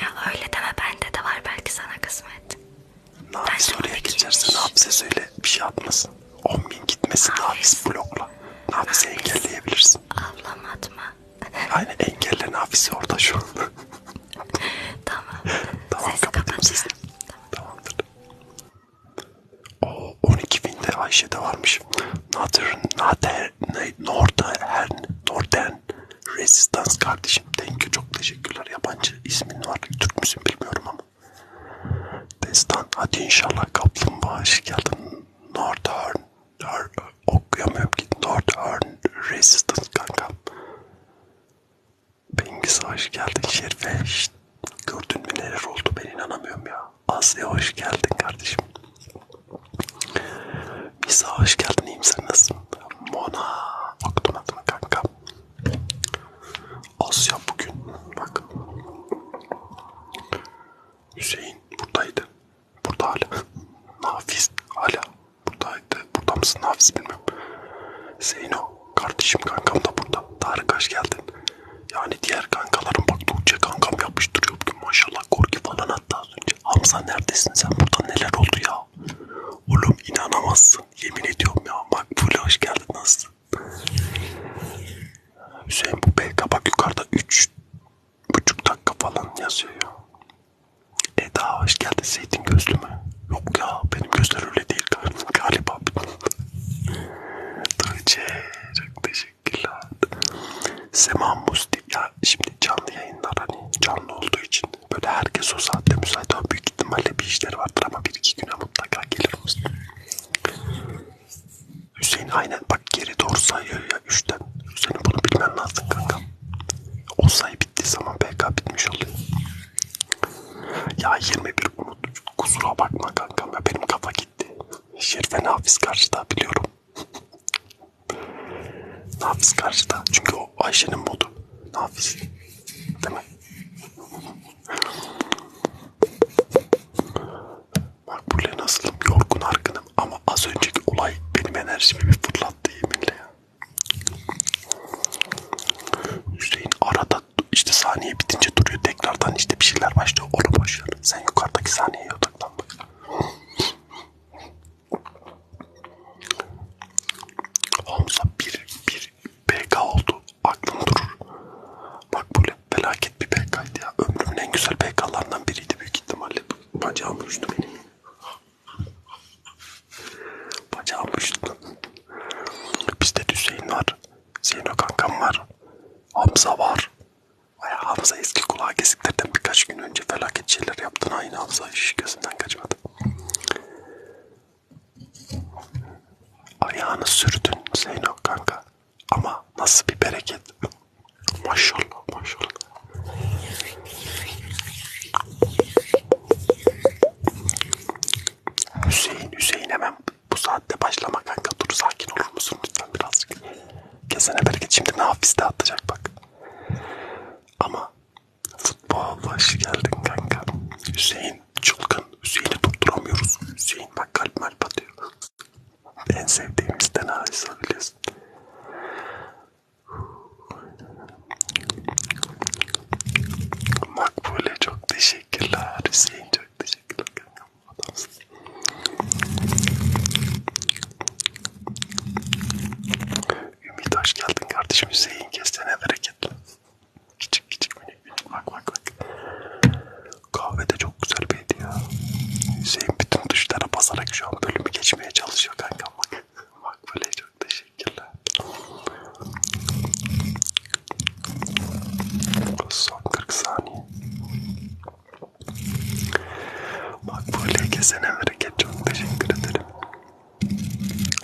S2: Ya öyle deme bende de var belki sana kısmet. Ne yapayım oraya geçersen hapse söyle bir şey atmasın. 10 bin gitmesin Nafiz blokla. Nafis'i engelleyebilirsin. Ablam atma. Aynen engelle Nafis'i orada şu anda. tamam. tamam Sesi kapatıyorum sesini. Tamam. Tamamdır.
S1: O 12 binde Ayşe de varmış. Northern, Northern, Northern, Northern Resistance kardeşim. Thank you. Çok teşekkürler. Yabancı ismin var. Türk müsün bilmiyorum ama. Destan hadi inşallah kaplumbağa hoş geldin. Northern, Northern okuyamıyorum ki Northern Resistance kanka. Bengiz hoş geldin Şerife. Şşt, gördün mü neler oldu ben inanamıyorum ya. Asya hoş geldin kardeşim. Misa hoş geldin iyiyim sen nasılsın? Mona okudum adını kanka. Asya bugün bak. Hüseyin buradaydı. Burada hala. Nafiz hala buradaydı. Burada mısın Nafiz bilmiyorum. Zeyno kardeşim kankam da burada. Tarık hoş geldin. Yani diğer kankalarım bak Tuğçe kankam yapmış duruyor bugün maşallah korki falan hatta az önce. Hamza neredesin sen burada neler oldu ya? Oğlum inanamazsın yemin ediyorum ya. Bak Fule hoş geldin nasılsın? Hüseyin bu BK bak yukarıda 3 buçuk dakika falan yazıyor ya. Eda hoş geldin zeytin gözlü mü? Yok ya benim gözler öyle değil galiba. Tuğçe çok teşekkürler. Sema Musti ya şimdi canlı yayınlar hani canlı olduğu için böyle herkes o saatte müsait ama büyük ihtimalle bir işleri vardır ama bir iki güne mutlaka gelir Musti. Hüseyin aynen bak geri doğru sayıyor ya 3'ten. Hüseyin bunu bilmen lazım kanka. O sayı bittiği zaman PK bitmiş oluyor. Ya 21 unut. Kusura bakma kankam ya benim kafa gitti. Şerife Nafiz karşıda biliyorum. Nafiz karşıda. Çünkü o Ayşe'nin modu. Nafiz. Değil mi? Makbule nasılım? Yorgun argınım ama az önceki olay benim enerjimi bir fırlattı yeminle ya. Hüseyin arada işte saniye bitince duruyor tekrardan işte bir şeyler başlıyor onu boşver. Sen yukarıdaki saniyeye odaklan bak. Hamza bir bir PK oldu. Aklım durur. Bak böyle Felaket bir PK'ydı ya. Ömrümün en güzel PK'larından biriydi büyük ihtimalle. Bacağım uçtu benim. Bacağım uçtu. Bizde Hüseyin var. Zeyno kankam var. Hamza var. Baya Hamza eski kulağa kesiklerden birkaç gün önce felaket şeyler yaptın. Aynı Hamza iş gözünden kaçmadı. Ayağını sürdün Zeyno kanka. Ama nasıl bir bereket. Maşallah maşallah. Hüseyin Hüseyin hemen bu saatte başlama kanka dur sakin olur musun lütfen birazcık. Kesene bereket şimdi ne hafifte atacak bak. Ama futbol hoş geldin kanka. Hüseyin çılgın. Hüseyin'i durduramıyoruz. Hüseyin bak kalp malp atıyor. En sevdiğimizden ağrısı biliyorsun. Makbule çok teşekkürler. Hüseyin çok teşekkürler. Adamsın. Ümit hoş geldin kardeşim. Hüseyin kesene bereketli. Küçük küçük minik minik bak bak bak. Kahve de çok güzel bir hediye. Hüseyin bütün tuşlara basarak şu an bölümü geçmeye çalışıyor kanka bak. Bak böyle çok teşekkürler. Son 40 saniye. Bak böyle kesene hareket çok teşekkür ederim.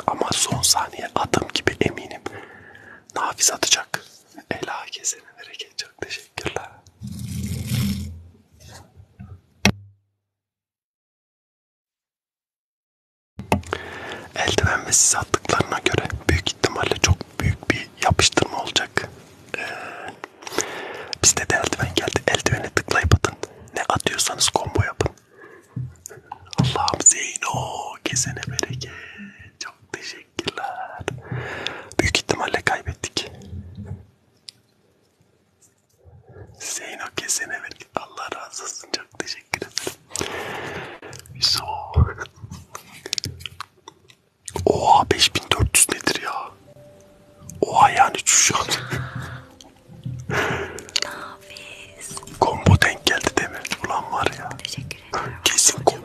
S1: Ama son saniye adım gibi eminim. Nafiz atacak. Ela kesene bereket. Çok teşekkürler. Eldiven ve siz attıklarına göre büyük ihtimalle çok büyük bir yapıştırma olacak. Ee, bizde de eldiven geldi. Eldivene tıklayıp atın. Ne atıyorsanız combo yapın. Allah'ım Zeyno kesene bereket. Çok teşekkür Teşekkürler. Büyük ihtimalle kaybettik. Zeyno kesene verdik. Allah razı olsun. Çok teşekkür ederim. So. Oha 5400 nedir ya? Oha yani şu an. Nafiz. Kombo denk geldi demir. Ulan var ya. Teşekkür ederim. Kesin kombo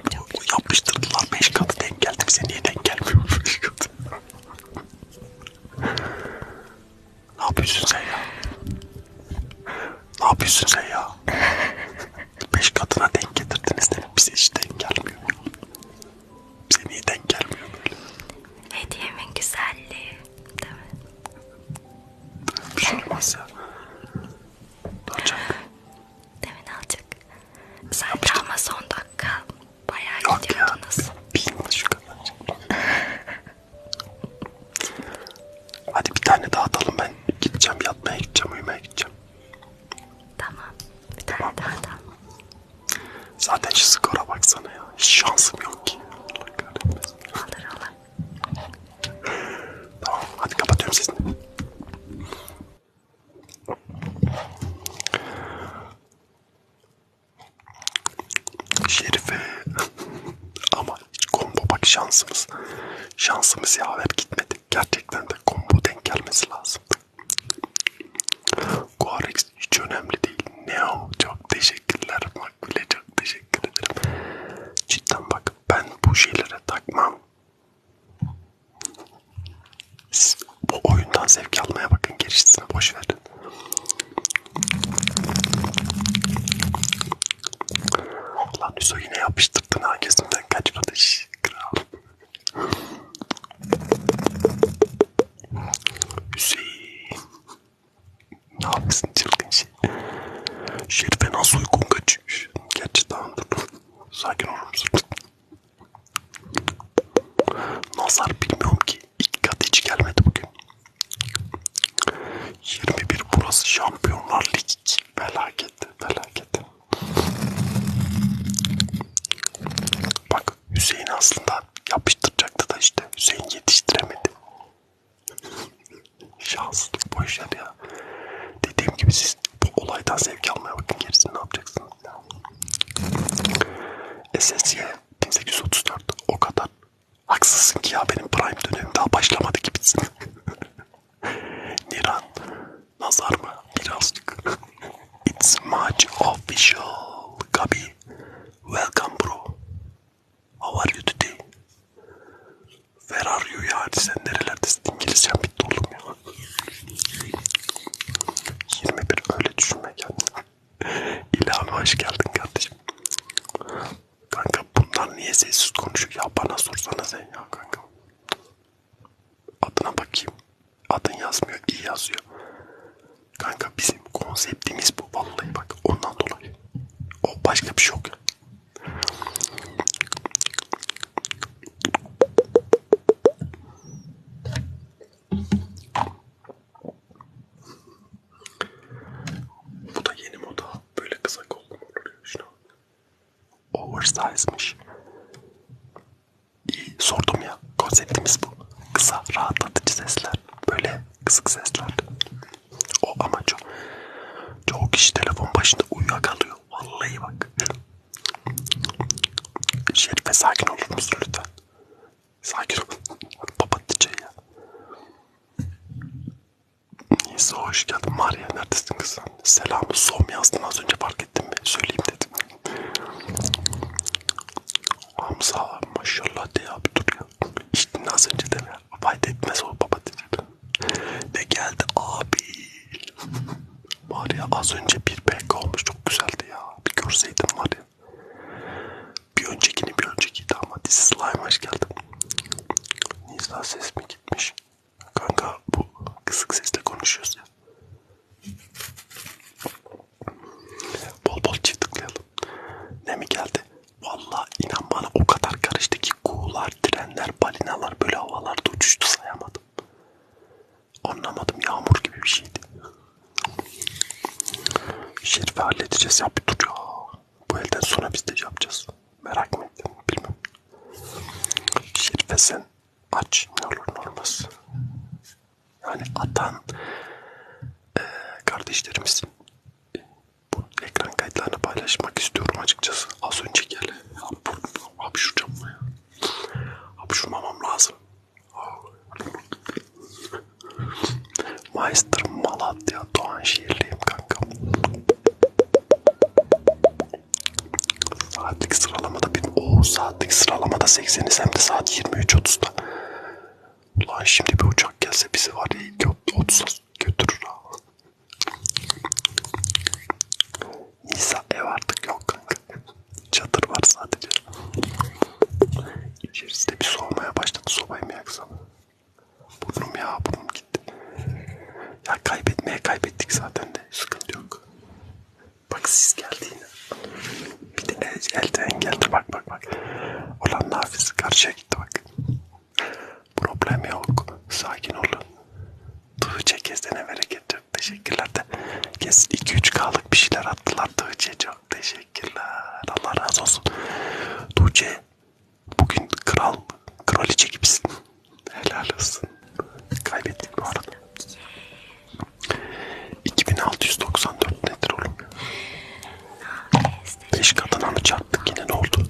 S1: yapıştırdılar. 5 katı denk geldi bize. Niye denk gelmiyor? kötü. ne yapıyorsun sen ya? Ne yapıyorsun sen ya? Beş katına denk getirdiniz de bize hiç denk gelmiyor.
S2: Bize niye denk gelmiyor böyle? Hediyemin güzelliği değil mi? Bir şey olmaz ya. Duracak. Demin alacak. Zaten ama son dakika bayağı gidiyordunuz. Bilmiyorum şu kadar. Hadi bir tane daha
S1: atalım ben gideceğim yatmaya gideceğim uyumaya gideceğim. Tamam bir tane tamam. daha atalım. Zaten şu skora baksana ya hiç şansım yok ki. Allah kahretmesin. Olur olur. Tamam hadi kapatıyorum sesini. Şerife. Ama hiç combo bak şansımız. Şansımız yaver gitmedi. Gerçekten de combo denk gelmesi lazımdı. Guarix hiç önemli değil. Neo çok teşekkürler. Makbule çok teşekkür ederim. Cidden bak ben bu şeylere takmam. Siz bu oyundan zevk almaya bakın gerisini boş verin. Ulan Hüso yine yapıştırdın ha gözümden kaçmadı iş. Kral. Hüseyin. Ne yapıyorsun çılgın şey? Şerife nasıl uygun kaçıyor? Gerçi tamam dur. Sakin olur musun? Nazar bilmiyorum ki. İki kat hiç gelmedi bugün. 21 burası Şampiyonlar Ligi. Felaketi, felaketi. Bak Hüseyin aslında yapıştıracaktı da işte. Hüseyin yetiştiremedi. Şanslı boşver ya. Dediğim gibi siz bu olaydan zevk almaya bakın gerisini ne yapacaksın? SS'ye 1834 o kadar. Haksızsın ki ya benim prime dönemim daha başlamadı ki bitsin. Niran, nazar mı? Birazcık. It's much official. Gabi, welcome bro. How are you today? Where are you yani sen nerelerdesin? İngilizcem bitti oğlum ya. 21 öyle düşünme kendini. İlhan hoş geldin kardeşim. Kanka bunlar niye sessiz konuşuyor ya bana sorsana sen ya kanka. Adına bakayım. Adın yazmıyor iyi yazıyor. Kanka bizim konseptimiz bu vallahi bak ondan dolayı. O başka bir şey yok. Bu da yeni moda. Böyle kısa kollu olur ya şuna. Oversize'mış. İyi sordum ya. Konseptimiz bu. Kısa, rahatlatıcı sesler. Böyle kısık sesler. O ama çok, çoğu kişi telefon başında uyuyakalıyor. Vallahi bak. Şerife sakin olur musun lütfen? Sakin ol. Papatlıca ya. Neyse hoş geldin. Maria neredesin kızım? Selamı son yazdın az önce fark ettim mi? Söyleyeyim dedim. Hamza maşallah de abi dur ya. İçtin az önce de ya. Fayda etmez o papatlıca. Ne geldi abi? Var ya az önce bir pek olmuş çok güzeldi ya. Bir görseydin var ya. Bir öncekini bir öncekiydi ama This Slime hoş geldin. Nisa ses mi gitmiş? Kanka bu kısık sesle konuşuyoruz ya. Bol bol çift tıklayalım. Ne mi geldi? Valla inan bana o kadar karıştı ki kuğular, trenler, balinalar böyle havalarda uçuştu sayamadım. Anlamadım yağmur gibi bir şeydi. Şerife halledeceğiz ya bir dur ya. Bu elden sonra biz de yapacağız. Merak mı ettim bilmem. Şerife sen aç ne olur ne olmaz. Yani atan e, kardeşlerimiz e, bu ekran kayıtlarını paylaşmak istiyorum açıkçası. Az önce gel. Abi, abi şuracağım ya. Abi şurmamam lazım. Meister Malatya Doğanşehirliyim kankam. Saatlik sıralamada bir o saatlik sıralamada 80'iz hem de saat 23.30'da. Ulan şimdi bir uçak gelse bizi var ya 30'a götürür ha. Nisa ev artık yok kanka. Çadır var sadece. İçerisinde bir soğumaya başladı. Sobayı mı yaksam? Burnum ya burnum gitti. Ya kaybetmeye kaybettik zaten de. Sıkıntı yok. Bak siz geldi yine. Bir de el, elden geldi. Bak bak bak. Olan Nafiz karşıya gitti bak. Problem yok. Sakin olun. Dığı çekesine bereket getirdi. Teşekkürler de. Kesin 2-3K'lık bir şeyler attılar Tuğçe. Çok teşekkürler. Allah razı olsun. Tuğçe bugün kral, kraliçe gibisin. Helal olsun. Kaybettik bu arada. 2694 nedir oğlum? 5 katına mı çarptık yine ne oldu?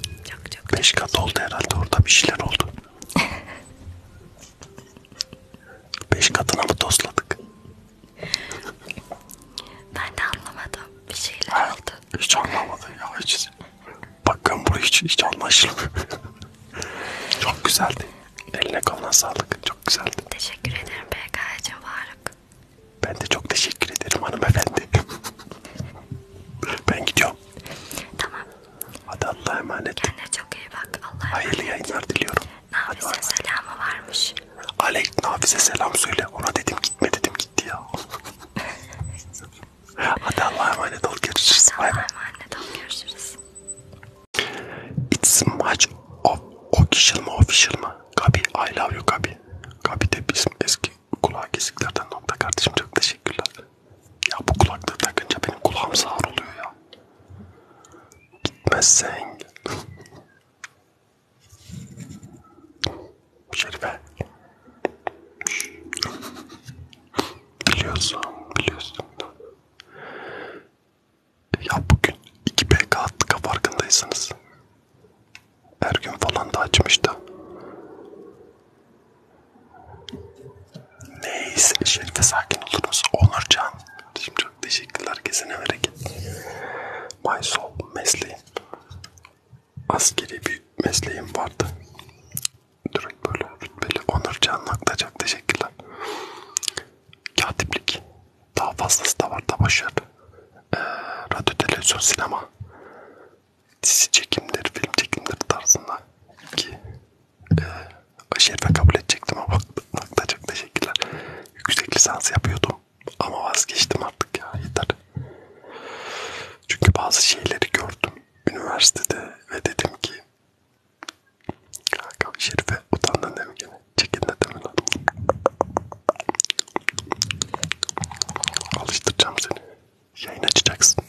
S1: 5 kat oldu herhalde orada bir şeyler oldu. Beş katına mı tosladık? Ben de anlamadım. Bir şeyler ha, oldu. Hiç anlamadım ya. Hiç. Bakın buraya hiç, hiç anlaşılmıyor. Çok güzeldi. Eline koluna sağlık. Çok güzeldi. Teşekkür ederim PK'cığım Faruk. Ben de çok teşekkür ederim hanımefendi. ben gidiyorum. Tamam. Hadi Allah'a emanet. Kendine çok iyi bak. Allah'a emanet. Hayırlı yayınlar diliyorum. Nafise selamı varmış. Aleyk Nafise selam söyle. Ona dedim gitme dedim gitti ya. Hadi Allah'a emanet ol görüşürüz. Allah'a emanet ol görüşürüz. It's much of official mı official mı? Gabi I love you Gabi. Gabi de bizim eski kulağı kesiklerden nokta kardeşim çok teşekkürler. Ya bu kulaklığı takınca benim kulağım sağır oluyor ya. Gitmezsen Şerife Biliyorsun biliyorsun Ya bugün 2BK attık farkındaysanız Her gün falan da açmıştı Neyse Şerife sakin oluruz Onurcan Kardeşim çok teşekkürler. Kesene hareket. My soul mesleğim. Askeri bir mesleğim vardı. Direkt böyle rütbeli. Onur Can çok teşekkürler. Katiplik. Daha fazlası da var da başarı. Ee, radyo, televizyon, sinema. Dizi çekimleri, film çekimleri tarzında. 2 e, ee, şerife kabul edecektim ama bakmakta çok teşekkürler. Yüksek lisans yapıyordum ama vazgeçtim artık ya yeter. Çünkü bazı şeyleri gördüm üniversitede ve dedim ki Kanka şerife utandın değil mi gene? Çekin de değil mi lan? Alıştıracağım seni. Yayın açacaksın.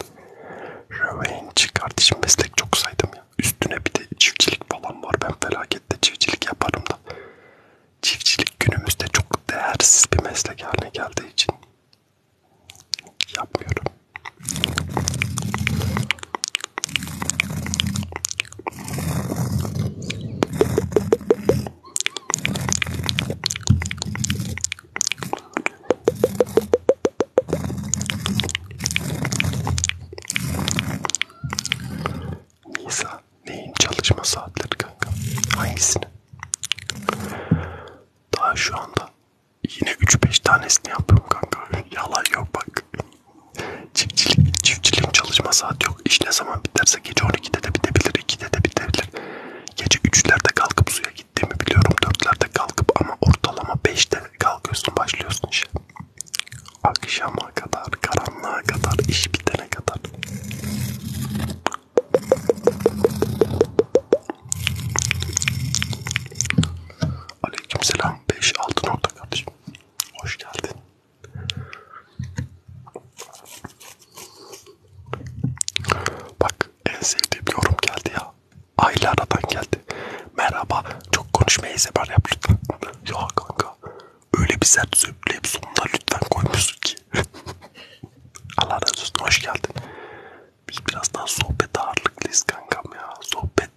S1: Revenge kardeşim meslek çok saydım Üstüne bir de çiftçilik falan var. Ben felakette çiftçilik yaparım da. Çiftçilik günümüzde çok değersiz bir meslek haline geldiği için yapmıyorum. Nisa neyin çalışma saatleri kanka? Hangisini? Daha şu anda yine 3-5 tanesini yapıyorum kanka. Yalan yok bak. Çiftçilik, çiftçiliğin çalışma saati yok. İş ne zaman biterse gece 12'de de bitebilir, 2'de de bitebilir. Gece 3'lerde kalkıp suya gittiğimi biliyorum. 4'lerde kalkıp ama ortalama 5'te kalkıyorsun başlıyorsun işe. Akşama kadar, karanlığa kadar, iş bitene kadar. Aleykümselam 5-6 nokta kardeşim. Hoş geldin. Bak en sevdiğim yorum geldi ya. Aylardan geldi merhaba çok konuşmayı sever yap lütfen. ya kanka öyle bir sert söpleyip sonuna lütfen koymuşsun ki. Allah razı olsun hoş geldin. Biz biraz daha sohbet ağırlıklıyız kankam ya. Sohbet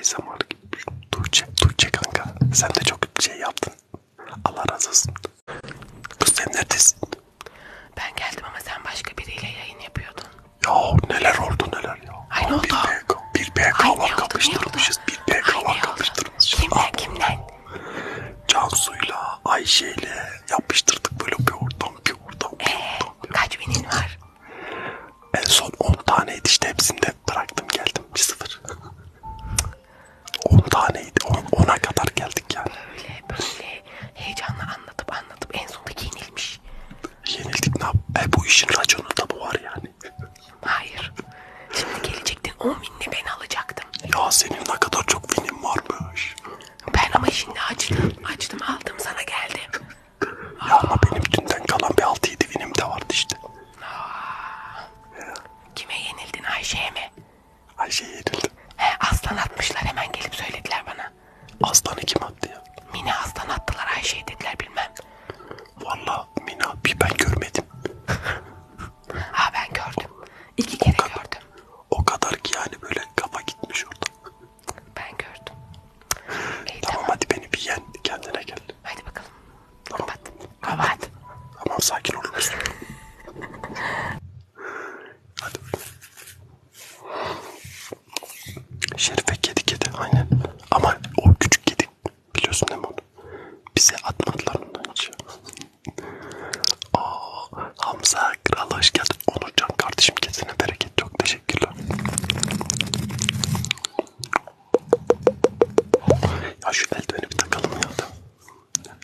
S1: ASMR gibi. Şey. Tuğçe, Tuğçe kanka sen de çok şey yaptın. Allah razı olsun. Kız sen neredesin? Ben geldim ama sen başka biriyle yayın yapıyordun. Ya neler oldu neler şeyler ya. Aynı oldu. Bir PK var kapıştırmışız. Bir PK var kapıştırmışız. Kimle kimle? Cansu'yla, Ayşe'yle yapıştırdık böyle bir oradan bir oradan bir ee, oradan. Bir kaç binin var? En son 10 taneydi işte hepsini de bıraktım geldim bir sıfır. 10 taneydi. 10'a kadar geldik yani. Böyle böyle heyecanla anlatıp anlatıp en sonunda yenilmiş. Yenildik ne yap? E bu işin raconu da bu var yani. Hayır. Şimdi gelecektin o minni ben alacaktım. Ya senin ne kadar çok vinim varmış. Ben ama şimdi açtım. Açtım aldım sana geldi. Ya ama benim dünden kalan bir 6-7 vinim de vardı işte. Aa, kime yenildin Ayşe'ye mi? Ayşe'ye yenildim. He aslan atmışlar hemen gelip söylediler bana. Aslanı kim attı ya? Mini aslan attılar Ayşe'ye dediler bilmem. Valla Mina bir ben görmedim. ha ben gördüm. İki kere o kadar, gördüm. O kadar ki yani böyle kafa gitmiş orada. Ben gördüm. İyi, tamam, tamam hadi beni bir yen kendine gel. Hadi bakalım. Tamam. Kapat. Kapat. Tamam sakin olur musun? hadi Şerife kedi kedi aynen. Ama o küçük kedi Biliyorsun değil mi onu? Bize atmadılar ondan hiç. Oo, Hamza Kral hoş geldin. Onurcan kardeşim kesine bereket. Çok teşekkürler. Ya şu eldiveni bir takalım ya da.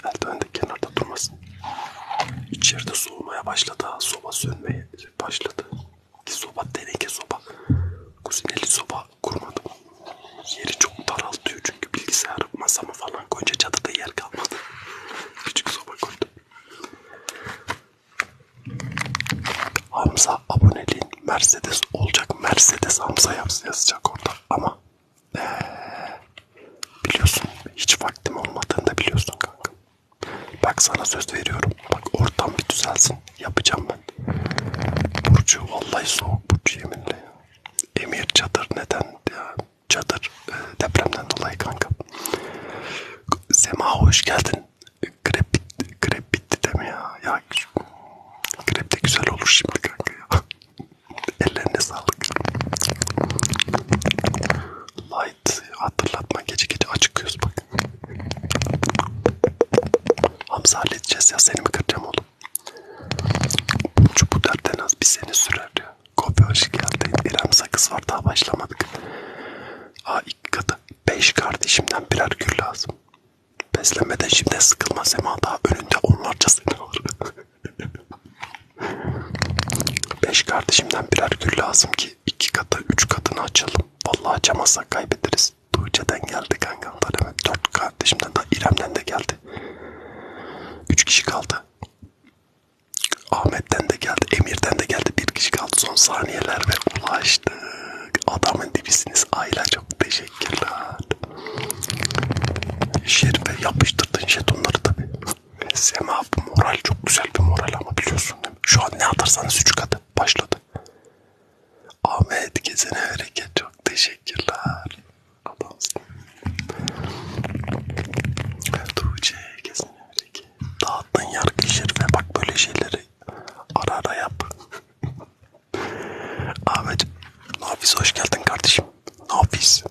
S1: Eldiven de kenarda durmasın. İçeride soğumaya başladı. Soba sönmeye başladı. Soba, deneke soba. Kuzineli soba kurmadım. Yeri çok daraltıyor çünkü bilgisayar masamı falan koyunca çatıda yer kalmadı. Küçük soba koydum. Hamza aboneliğin Mercedes olacak. Mercedes Hamza yazacak orada ama ee, biliyorsun hiç vaktim olmadığını da biliyorsun kanka. Bak sana söz veriyorum. Bak ortam bir düzelsin. Yapacağım ben. Burcu vallahi soğuk Burcu yeminle ya. Emir çadır neden ya? Çadır e, depremden dolayı kanka. Sema hoş geldin. Krep, krep bitti deme ya. Ya krep de güzel olur şimdi kanka ya. Ellerine sağlık. Light hatırlatma gece gece acıkıyoruz bak. Hamza halledeceğiz ya seni mi kıracağım oğlum? Çünkü bu dertten az bir sene sürer diyor. Kopya hoş geldin. İrem sakız var daha başlamadık. Aa iki katı. Beş kardeşimden birer gül lazım. Beslemeden şimdi sıkılma Sema daha önünde onlarca sene var. Beş kardeşimden birer gül lazım ki iki katı üç katını açalım. Vallahi açamazsak kaybederiz. Ses Tuğçe'den geldi kankamdan hemen. Dört kardeşimden de İrem'den de geldi. Üç kişi kaldı. Ahmet'ten de geldi. Emir'den de geldi. Bir kişi kaldı. Son saniyeler ve ulaştık. Adamın dibisiniz aile. Çok teşekkürler. Şerife yapıştırdın jetonları tabi. Sema bu moral çok güzel bir moral ama biliyorsun değil mi? Şu an ne atarsanız üç katı başladı. Ahmet gezene hareket çok teşekkürler. Adamsın. Tuğçe gezene hareket. Dağıttın yargı şerife bak böyle şeyleri ara ara yap. Ahmet, Nafiz hoş geldin kardeşim. Nafiz.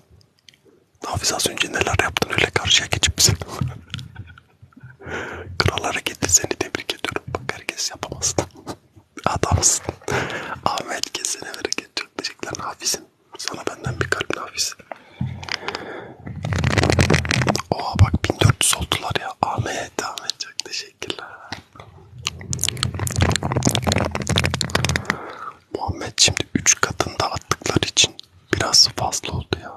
S1: Nafiz az önce neler yaptın öyle karşıya geçip bize. Kral hareketi seni tebrik ediyorum. Bak herkes yapamaz. Adamsın. Ahmet kesene bereket. Çok teşekkürler Nafis'im. Sana benden bir kalp Nafis. Oha bak 1400 oldular ya. Ahmet, Ahmet çok teşekkürler. Muhammed şimdi 3 katında attıkları için biraz fazla oldu ya.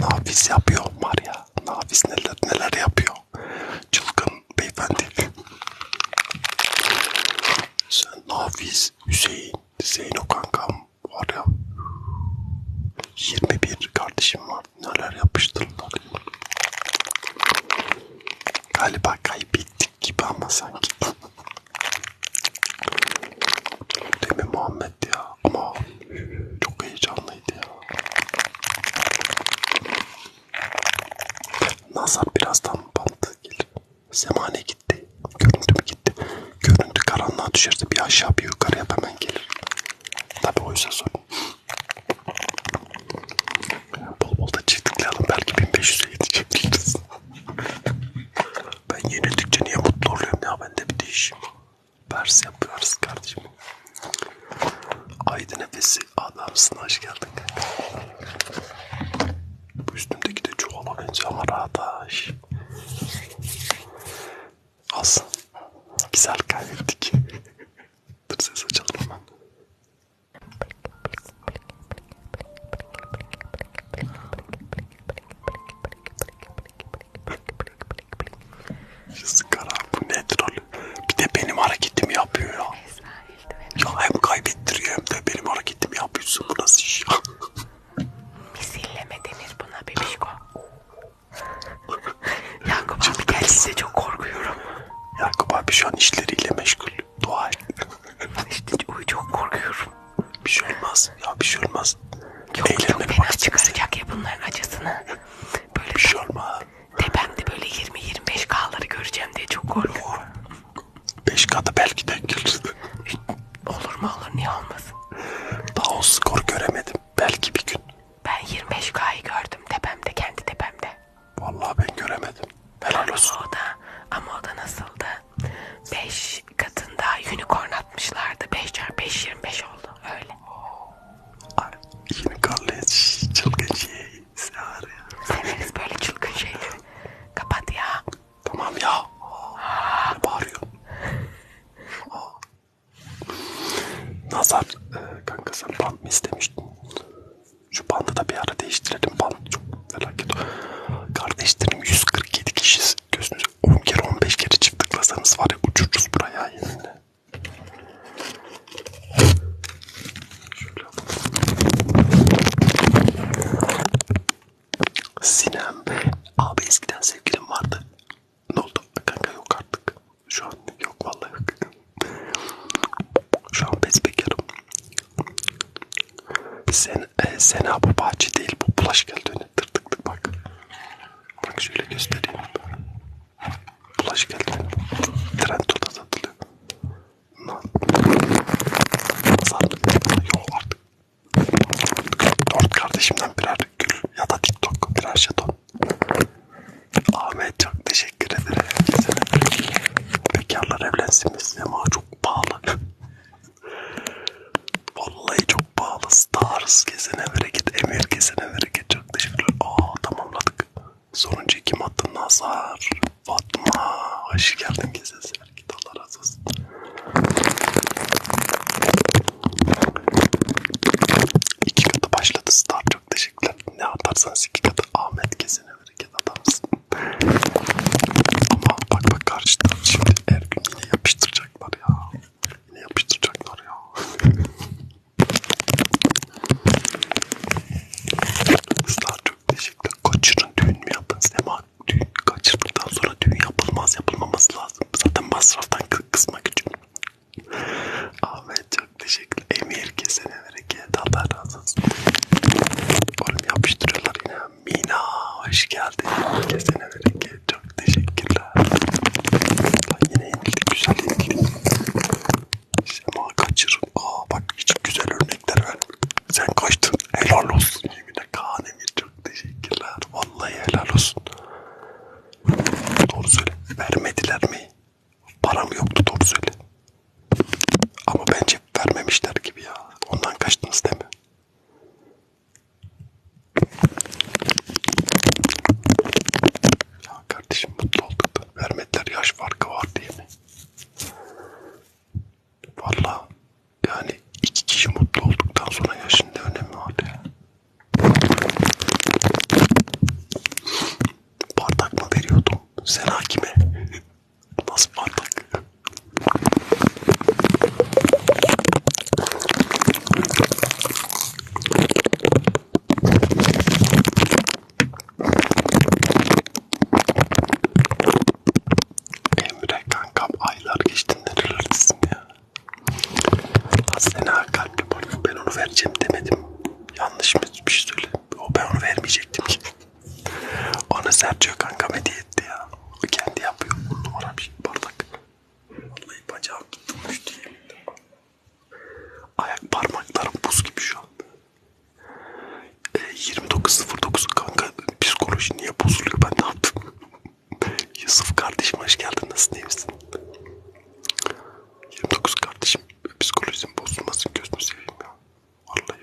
S1: Nafis yapıyor Maria. Nafis neler neler yapıyor. Çılgın beyefendi. Sen Nafiz, Hüseyin, Zeyno kankam var ya. 21 kardeşim var. Neler yapıştırdılar. Galiba kaybettik gibi ama sanki. Değil mi Muhammed ya? Ama çok heyecanlıydı ya. Nazar birazdan bantı gelir. Semane gitti. Görüntü mü gitti? Görüntü karanlığa düşerse bir aşağı bir yukarıya hemen gelir. Tabi oysa sorun. Bol bol da çiftlikleyelim. Belki 1500'e yetişebiliriz. ben yenildikçe niye mutlu oluyorum ya? Bende bir değişim. Pers yapıyoruz kardeşim. Haydi nefes Nasıl adamsın hoş geldin kanka. Bu üstümdeki de çuvala benziyor ama rahat aş. Olsun. Güzel kaybettik. Dur ses açalım hemen. Şu sıkara bu ne troll. Bir de benim hareketimi yapıyor ya yüzden eldivenim. Ya hem kaybettiriyor hem de benim hareketimi yapıyorsun. Bu nasıl iş ya? Misilleme denir buna bebişko. Yakup abi geldiğinde çok korkuyorum. Yakup abi şu an işleriyle meşgul. Dua et. işte çok korkuyorum. Bir şey olmaz. Ya bir şey olmaz. Yok Eğlenmeye
S2: çok fena çıkaracak ya bunların acısını. Böyle bir şey olmaz. Tepemde böyle 20-25 K'ları göreceğim diye çok korkuyorum. 5 katı belki denk gelir. E, olur mu olur niye olmasın? Daha o skor göremedim. Belki bir gün. Ben 25K'yı gördüm tepemde kendi tepemde. Vallahi ben göremedim. Helal olsun. Ama o da, ama o da nasıldı? 5 katında unicorn atmışlardı. 5 çarpı 5 25 oldu. Öyle. Ay, unicorn'la çılgın şey. Sağır ya. Severiz böyle çılgın şeyleri.
S1: Kapat ya. Tamam ya. Aa, ne bağırıyor? Aa. Nazar e, kanka sen bant mı istemiştin? Şu bandı da bir ara değiştirelim. Band çok felaket. Kardeşlerim 147 kişiyiz. Gözünüzü 10 kere 15 kere çift tıklasanız var ya uçururuz buraya yeminle. Sinem Bey. Abi eskiden sevgilim vardı. Ne oldu? Kanka yok artık. Şu an yok vallahi yok. Şu an bezbekarım. Sen, e, Sena bu bahçe değil bu bulaş geldi önüne. Tır tık tık bak. Bak şöyle göstereyim. Flash geldi. Trendyol'da satılıyor. Lan. Yok artık. Dört kardeşimden birer gül ya da TikTok birer jeton. Ahmet çok teşekkür ederim. Bekarlar evlensin biz ama çok pahalı. Vallahi çok pahalı. Stars kesene bereket, Emir kesene bereket. Çok teşekkürler. Aa tamamladık. Sonuncu kim attı? Nazar. Fatma. Hoş geldin gezesi. Git Allah razı olsun. İki katı başladı Star. Çok teşekkürler. Ne atarsanız iki katı. Ahmet kesene bereket adamsın. Ama bak bak karşıda. Şimdi her gün yine yapıştıracaklar ya. Yine yapıştıracaklar ya. Dostlar çok teşekkür Kaçırın düğün mü yapın? Sema düğün kaçırdıktan sonra düğün yapılmaz yapılmaması lazım. Zaten masraftan kısmak için. Ahmet çok teşekkür Emir kesene bereket. Allah razı olsun. Oğlum yapıştırıyorlar yine. Mina hoş geldin. Kesene bereket. Çok teşekkürler. Lan yine yenildik. Güzel yenildik. Sema kaçır. Aa bak hiç güzel örnekler ver. Sen kaçtın. Helal olsun. Yemine Kaan Emir çok teşekkürler. Vallahi helal olsun. Doğru söyle. Vermediler mi? Param yoktu doğru söyle. Ama bence vermemişler gibi ya. Ondan kaçtınız değil mi? Ya kardeşim mutlu olduk da vermediler yaş farkı var diye mi? Valla yani iki kişi mutlu olduktan sonra yaşın ne önemi var ya. Bardak mı veriyordum? Sen hakime. Nasıl bardak? Emre kankam aylar geçtiğinde rırırsın ya. Aslında Hakan ben onu vereceğim demedim. Yanlış mı bir şey söyle. O ben onu vermeyecektim ki. Ona Sergio kankam hediye etti ya. O kendi yapıyor. Bu numara bir bardak. Vallahi bacağım tutmuştu yeminle. Ayak parmaklarım buz gibi şu anda. E, 29.09 kanka psikoloji niye bozuluyor ben ne yaptım? Yusuf kardeşim hoş geldin nasılsın iyi misin? 29 kardeşim psikolojim bozulmasın gözünü seveyim ya. Vallahi.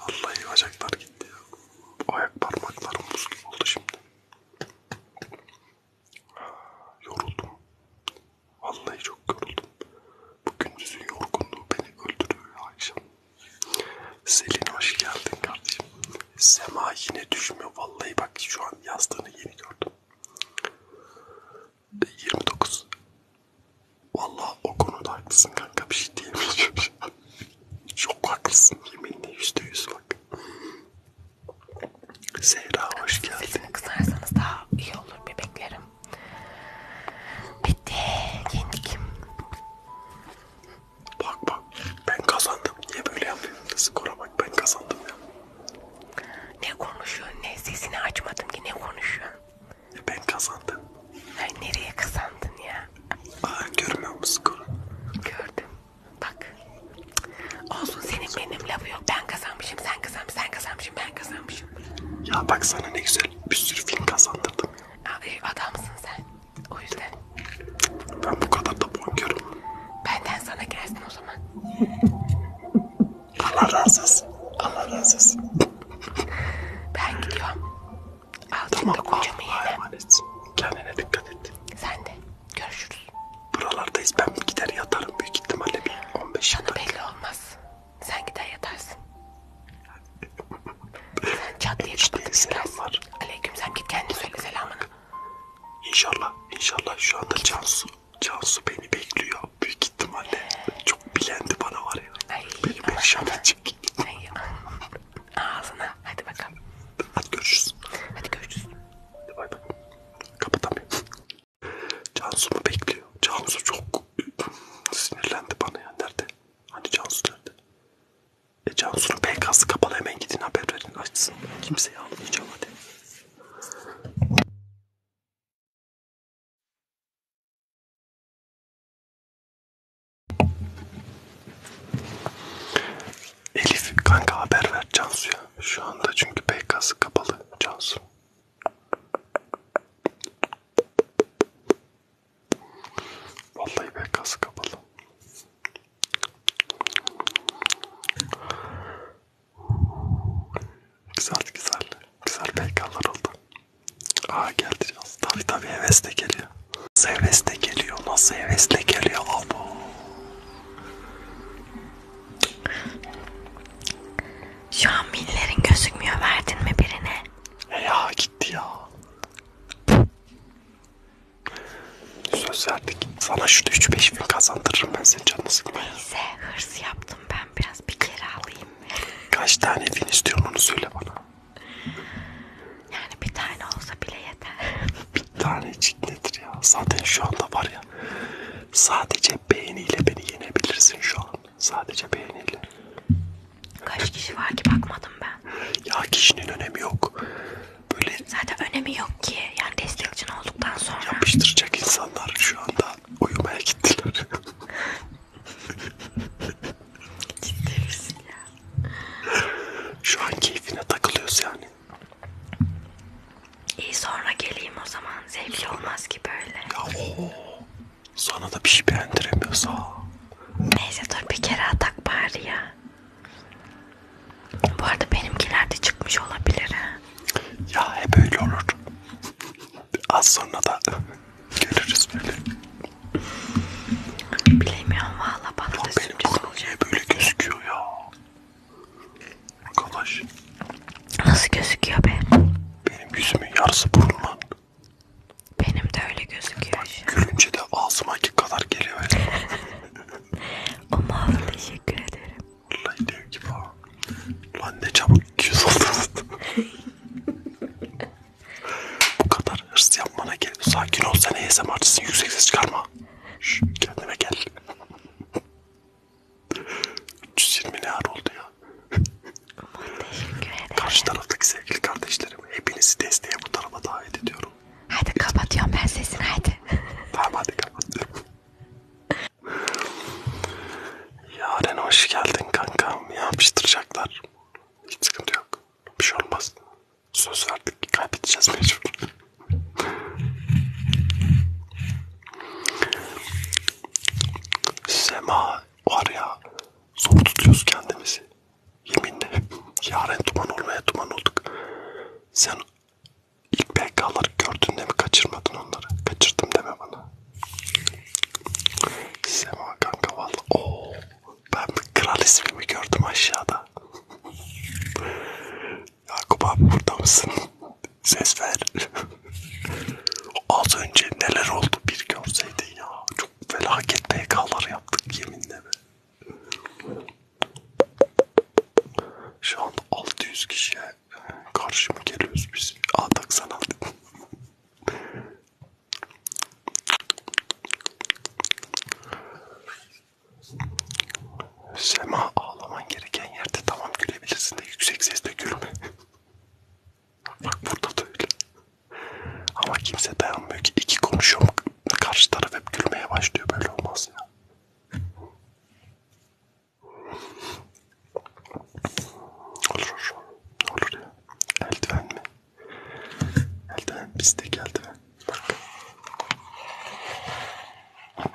S1: Vallahi bacaklar gitti ya. Ayak parmaklarım buz gibi oldu şimdi. Yoruldum. Vallahi çok yoruldum. Bu gündüzün yorgunluğu beni öldürüyor akşam. Selin hoş geldin kardeşim. Sema yine düşmüyor. Vallahi bak şu an yazdığını yeni gördüm. 29. Vallahi o konuda haklısın kanka bir şey diyemeyeceğim. Çok haklısın yeminle %100 bak. Zehra hoş geldin. Sesimi kısarsanız daha iyi olur bebeklerim. Bitti. Yendik. Bak bak ben kazandım. Niye böyle yapıyorsun? Skora
S2: bak ben kazandım ya. Ne konuşuyorsun? Ne sesini açmadım ki ne konuşuyorsun? Ben kazandım. Ay nereye kazandın ya? Aa, görmüyor
S1: musun skoru? Gördüm. Bak. Olsun senin benim lafı yok. Ben kazanmışım, sen kazanmışsın, sen kazanmışsın, ben kazanmışım. Ya bak sana ne güzel bir sürü film kazandırdım. Abi e, adamsın sen. O yüzden.
S3: Ben bu kadar da bonkörüm. Benden sana gelsin o zaman.
S1: Allah razı olsun. Allah razı olsun. Ben gidiyorum. Altında tamam, kocamı yedim. Kendine dikkat et. Sen de. Görüşürüz. Buralardayız. Ben bir gider yatarım büyük ihtimalle bir 15 Sana belli olmaz. Sen gider yatarsın. Sen çat diye işte kapatıp selamlar. Aleyküm sen git kendin söyle selamını. İnşallah, inşallah şu anda git. Cansu, Cansu beni bekliyor büyük ihtimalle. Ee. Çok bilendi bana var ya. Ay, beni perişan edecek. Ağzına hadi bakalım. Hadi görüşürüz. Hadi görüşürüz. Hadi bay bay. Kapatamıyorum. Cansu mu bekliyor? Cansu çok sinirlendi bana ya. Nerede? Hani Cansu nerede? E Cansu'nun PK'sı kapalı hemen gidin haber verin açsın. Kimseyi almayacağım hadi. Elif kanka haber ver Cansu'ya. Şu anda çünkü PK'sı kapalı Cansu. Vallahi ben kası kapalı. Güzel güzel. Güzel peykalar oldu. Aa geldi Cansu. Tabi tabi hevesle geliyor. Nasıl hevesle geliyor? Nasıl hevesle geliyor?
S2: Abo. Şu an millerin gözükmüyor. Verdin mi birine? E ya gitti ya. Söz verdik. Sana şu 3-5
S1: bin kazandırırım ben senin canını sıkma ya. Neyse hırs yaptım ben biraz. Bir kere alayım. Kaç tane bin istiyorsun onu söyle bana. Yani bir tane olsa bile yeter. bir tanecik nedir ya? Zaten şu anda var ya. Sadece beğeniyle beni yenebilirsin şu an. Sadece beğeniyle. Kaç
S2: kişi var ki bakmadım ben. Ya kişinin önemi yok. Böyle Zaten önemi yok ki. Yani destekçin olduktan sonra. yapıştıracak insanlar şu anda uyumaya gittiler. Ciddi misin ya? şu an keyfine takılıyoruz yani. İyi sonra geleyim o zaman. Zevkli olmaz ki böyle. Ya o. Sana da bir şey beğendiremiyorsa. Neyse dur bir kere atak bari ya. Bu arada benimkiler de çıkmış olabilir ha. Ya hep öyle olur. Az sonra da görürüz böyle. Bilemiyorum valla bana ya da benim sürpriz olacak. niye böyle gözüküyor ya? Arkadaş. Nasıl gözüküyor be? Benim yüzümün yarısı burunla. Benim de öyle gözüküyor. Bak, şu. gülünce de ağzımaki kadar geliyor. o mavi teşekkür ederim. Vallahi dev gibi ha.
S1: Lan ne çabuk küs oldunuz. Bu kadar hırs yapmana gel. Sakin ol sen ASMR'cısın yüksek ses çıkarma. Şş, kendine gel. 320 ne ar oldu ya. Karşı taraftaki sevgili kardeşlerim hepinizi desteğe bu tarafa davet ediyorum. Hadi kapatıyorum ben
S2: sesini hadi.
S1: Tamam hadi kapatıyorum. Yaren hoş geldin kankam. Yapıştıracaklar. Hiç sıkıntı yok. Bir şey olmaz. Söz verdik ki kaybedeceğiz mecbur. Sema var ya zor tutuyoruz kendimizi. Yeminle yarın duman olmaya duman olduk. Sen ilk PK'ları gördün de mi kaçırmadın onları? Kaçırdım deme bana. Sema kanka valla. Oo, ben bir kral ismimi gördüm aşağıda. Yakup abi burada mısın? ses ver. Az önce neler oldu bir görseydin ya. Çok felaket PK'lar yaptık yeminle be. Şu an 600 kişiye karşı mı geliyoruz biz? Atak sanat. Sema ağlaman gereken yerde tamam gülebilirsin de yüksek sesle gülme. Bak burada da öyle. Ama kimse dayanmıyor ki. İki konuşuyor karşı taraf hep gülmeye başlıyor. Böyle olmaz ya. Olur. Olur ya. Eldiven mi? Eldiven. Bizdeki eldiven. Bak.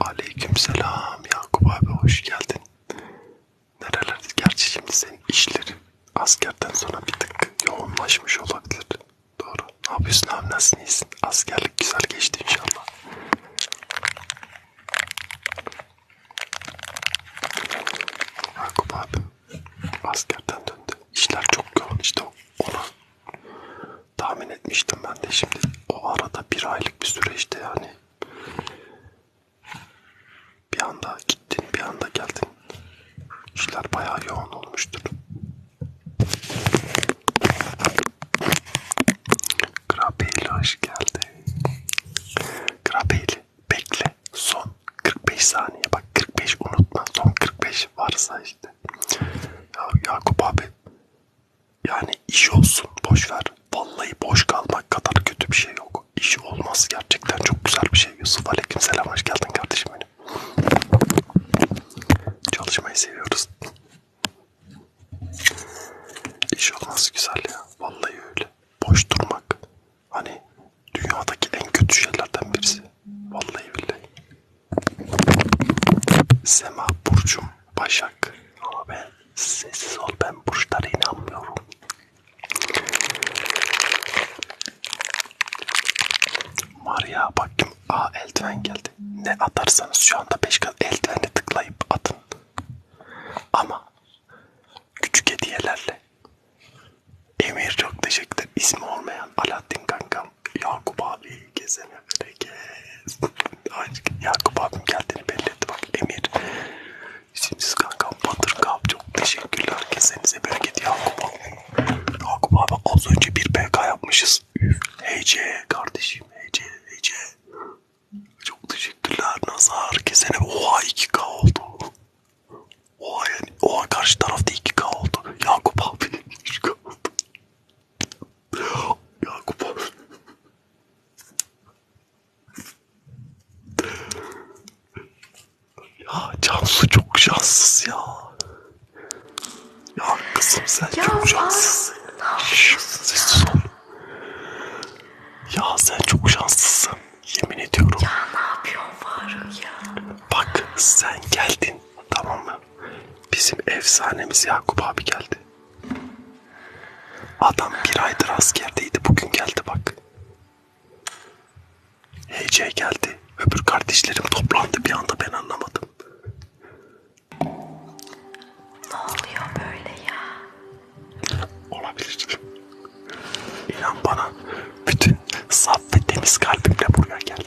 S1: Aleykümselam Yakup abi hoş geldin. Nerelerde? Gerçi şimdi senin işlerin askerden sonra bir tık yoğunlaşmış olabilir. Doğru. Ne yapıyorsun abi nasılsın iyisin? Askerlik güzel geçti inşallah. Yakup abi askerden döndü. İşler çok yoğun işte ona tahmin etmiştim ben de şimdi o arada bir aylık bir süreçte yani bir anda gittin bir anda geldin işler bayağı yoğun olmuştur. Krabeyli hoş geldi. Krabeyli bekle son 45 saniye bak 45 unutma son 45 varsa işte. Ya Yakup abi yani iş olsun boş ver. Vallahi boş kalmak kadar kötü bir şey yok. İş olmaz gerçekten çok güzel bir şey. Yusuf aleykümselam hoş geldin kardeşim benim. Çalışmayı seviyoruz. İş olmaz güzel ya. Vallahi öyle. Boş durmak hani dünyadaki en kötü şeylerden birisi. Vallahi billahi. Sema burcum Başak. Ama ben sessiz ol ben burçlara inanmıyorum. Maria bak kim? Aa eldiven geldi. Ne atarsanız şu anda 5 kat eldivenle tıklayıp atın. Ama küçük hediyelerle. Emir çok teşekkürler. İsmi olmayan Alaaddin kanka Yakup abi gezene bereket. Yakup abim geldiğini belli etti bak Emir. Siz kankam Batır Kap çok teşekkürler. Kesenize bereket Yakup abi. Yakup abi az önce bir PK yapmışız. Üf. Hece kardeşim Hece Hece. Çok teşekkürler Nazar. Kesene oha 2K oldu. Oha yani oha karşı tarafta 2K oldu. Yakup abi 3K oldu. Yakup Ya Cansu çok şanssız ya. Ya kızım sen ya çok şanssızsın. Sessiz ol. Ya sen çok şanslısın. Yemin ediyorum. Ya ne yapıyorsun Faruk ya? Bak sen geldin tamam mı? Bizim efsanemiz Yakup abi geldi. Adam bir aydır askerdeydi bugün geldi bak. Hece geldi. Öbür kardeşlerim toplandı bir anda ben anlamadım. Ne oluyor böyle ya? Olabilir. İnan bana bütün saf ve temiz kalbimle buraya geldim.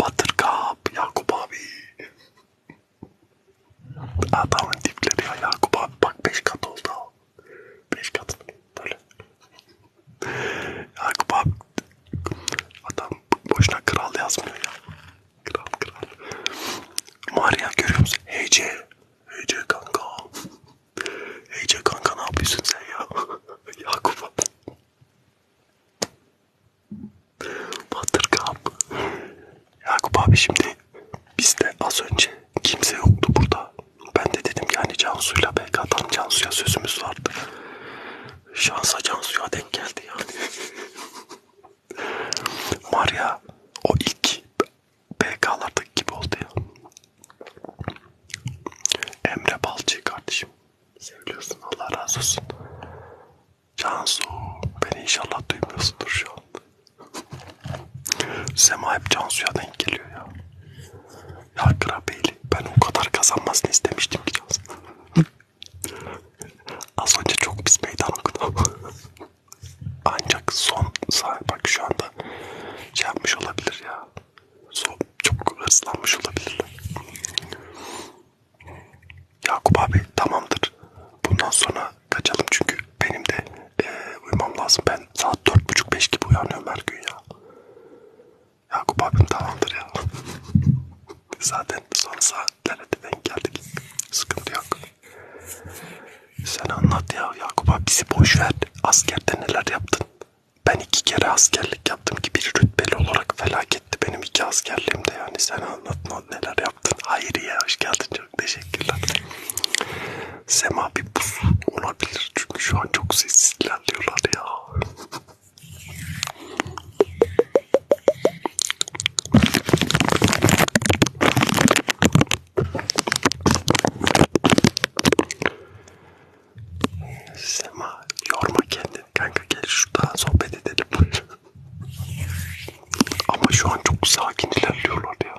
S1: Batırkap, Yakup abi. Adamın tipleri ya Yakup abi. Bak 5 kat oldu. 5 kat böyle. Yakup abi. Adam boşuna kral yazmıyor ya. Kral kral. Maria görüyor musun? Hece. Hece kanka. Ece kanka ne yapıyorsun sen ya? Yakup. Batırkan. Yakup abi şimdi bizde az önce kimse yoktu burada. Ben de dedim yani Cansu'yla BK'dan Cansu'ya sözümüz vardı. Şansa Cansu'ya denk geldi yani. Maria o ilk BK'lardaki gibi oldu ya. Emre Balcı kardeşim. Seviyorsun Allah razı olsun. Cansu beni inşallah duymuyorsundur şu an. Sema hep Cansu'ya denk geliyor ya. Ya Grabeyli ben o kadar kazanmasını istemiştim ki Cansu. Az önce çok pis meydan okudum. Ancak son sahip bak şu anda şey yapmış olabilir ya soğuk, çok hırslanmış olabilirler. Yakup abi tamamdır. Bundan sonra kaçalım çünkü benim de e, uyumam lazım. Ben saat 4.30-5 gibi uyanıyorum her gün ya. Yakup abim tamamdır ya. Zaten son saatlere de denk geldik. Sıkıntı yok. Sen anlat ya Yakup abi bizi boş ver. Askerde neler yaptın? ben iki kere askerlik yaptım ki bir rütbeli olarak felaketti benim iki askerliğimde yani sen anlatma neler yaptın. Hayriye hoş geldin çok teşekkürler. Sema bir buz olabilir çünkü şu an çok sessiz ilerliyorlar ya. Sema yorma kendini kanka gel şurada sohbet edelim. Ama şu an çok sakin ilerliyorlar ya.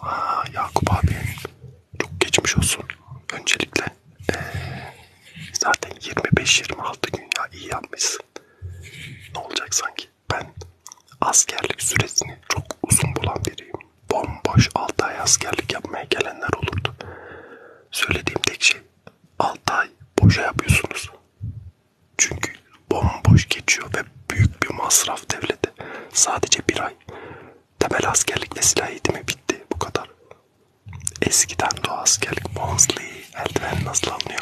S1: Aa, Yakup abi çok geçmiş olsun. Öncelikle ee, zaten 25-26 gün ya iyi yapmışsın. Ne olacak sanki? Ben askerlik süresini çok uzun bulan biriyim bomboş 6 ay askerlik yapmaya gelenler olurdu. Söylediğim tek şey 6 ay boşa yapıyorsunuz. Çünkü bomboş geçiyor ve büyük bir masraf devlete. Sadece bir ay. Temel askerlik ve silah eğitimi bitti bu kadar. Eskiden doğa askerlik, Monsley, eldiven nasıl anlıyor?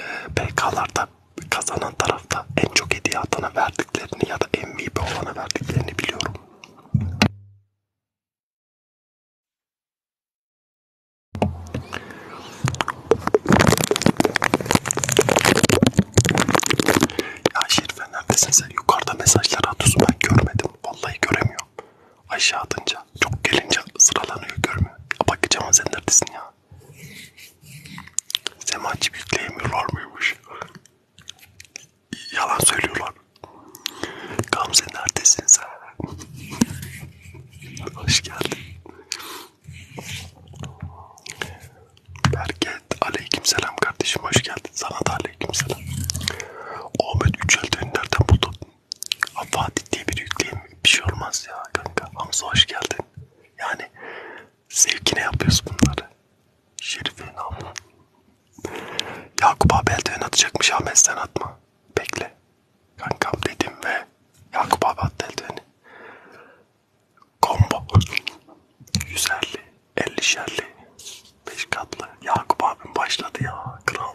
S1: Ee, PK'larda kazanan tarafta en çok hediye atana verdiklerini ya da MVP olana verdiklerini biliyorum. Ya Şerife neredesin sen? Yukarıda mesajlar atıyorsun ben görmedim. Vallahi göremiyorum. Aşağı atınca çok gelince sıralanıyor görmüyor. Ya bakacağım sen neredesin ya? Semaçı yükleyemiyorlar mıymış? Yalan söylüyorlar. Gamze neredesin sen? Hoş geldin. Berket aleykümselam kardeşim hoş geldin. Sana da aleykümselam. Ahmet Üçel'den nereden buldun? Ha, Fatih diye bir yükleyeyim. Bir şey olmaz ya kanka. Hamza hoş geldin. Yani Zevkine yapıyoruz bunları. Şerife inanma. Yakup abi eldiven atacakmış Ahmet sen atma. Bekle. Kankam dedim ve Yakup abi attı eldiveni. Kombo. 150, 50 şerli, 5 katlı. Yakup abim başladı ya kral.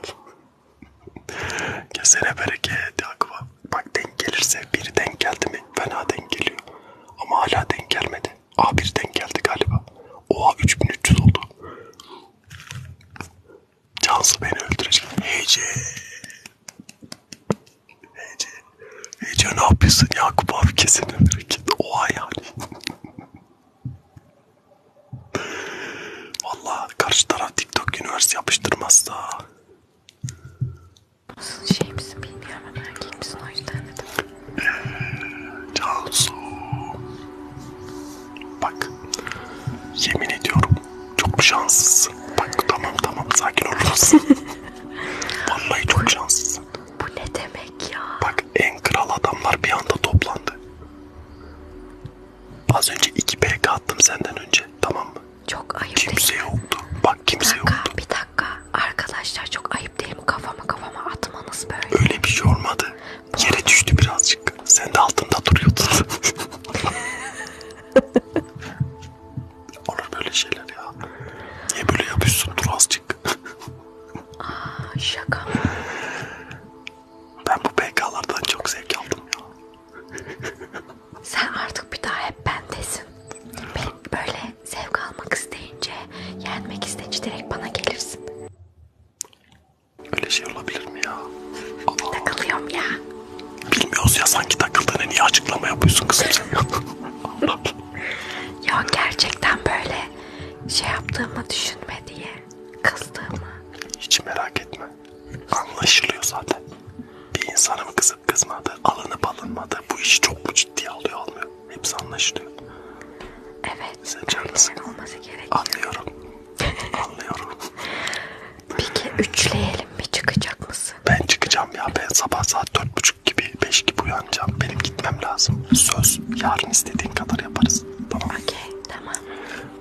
S1: Kesene bereket Yakup abi. Bak denk gelirse biri denk geldi mi fena denk geliyor. Ama hala denk gelmedi. A1 denk geldi galiba. Oha 3300 oldu. Cansı beni öldürecek. Heyce. Heyce. Heyce ne yapıyorsun Yakup abi kesin öldürecek. Oha yani. Valla karşı taraf TikTok Universe yapıştırmazsa Nasıl şey misin bilmiyorum ama erkek misin o yüzden dedim. Ee, Cansu. Bak yemin ediyorum çok şanslısın. Bak tamam tamam sakin olursun. Vallahi çok şanslısın. Bu ne demek ya? Bak en kral adamlar bir anda toplandı.
S2: Az önce 2 PK attım senden önce tamam mı? Çok ayıp Kimse değil. yoktu. Bak kimse bir dakika, yoktu. Bir dakika arkadaşlar çok ayıp sahip değilim kafama kafama atmanız böyle. Öyle bir şey olmadı. Bu Yere düştü birazcık. Sen de altında duruyordun.
S1: Olur böyle şeyler ya. Niye böyle yapıyorsun? Dur azıcık. Aa, şaka mı?
S2: Ben bu PK'lardan çok zevk aldım ya. Sen artık bir daha hep bendesin. Benim böyle sen zevk almak isteyince, yenmek isteyince direkt bana gelirsin. Öyle şey olabilir mi ya? Allah. Takılıyorum ya.
S1: Bilmiyoruz ya sanki takıldığını niye açıklama yapıyorsun kızım sen ya?
S2: ya gerçekten böyle şey yaptığımı düşünme diye kızdığımı. Hiç merak etme. Anlaşılıyor zaten.
S1: Bir insanın kızıp kızmadı, alınıp alınmadı bu işi çok mu ciddiye alıyor almıyor. Hepsi anlaşılıyor.
S2: Evet. Sen canlısın. olması gerekiyor. Anlıyorum. Anlıyorum. Peki üçleyelim mi? Çıkacak mısın? Ben çıkacağım ya. Ben sabah
S1: saat dört buçuk gibi, beş gibi uyanacağım. Benim gitmem lazım. Söz. Yarın istediğin kadar yaparız. Tamam. Okey. Tamam.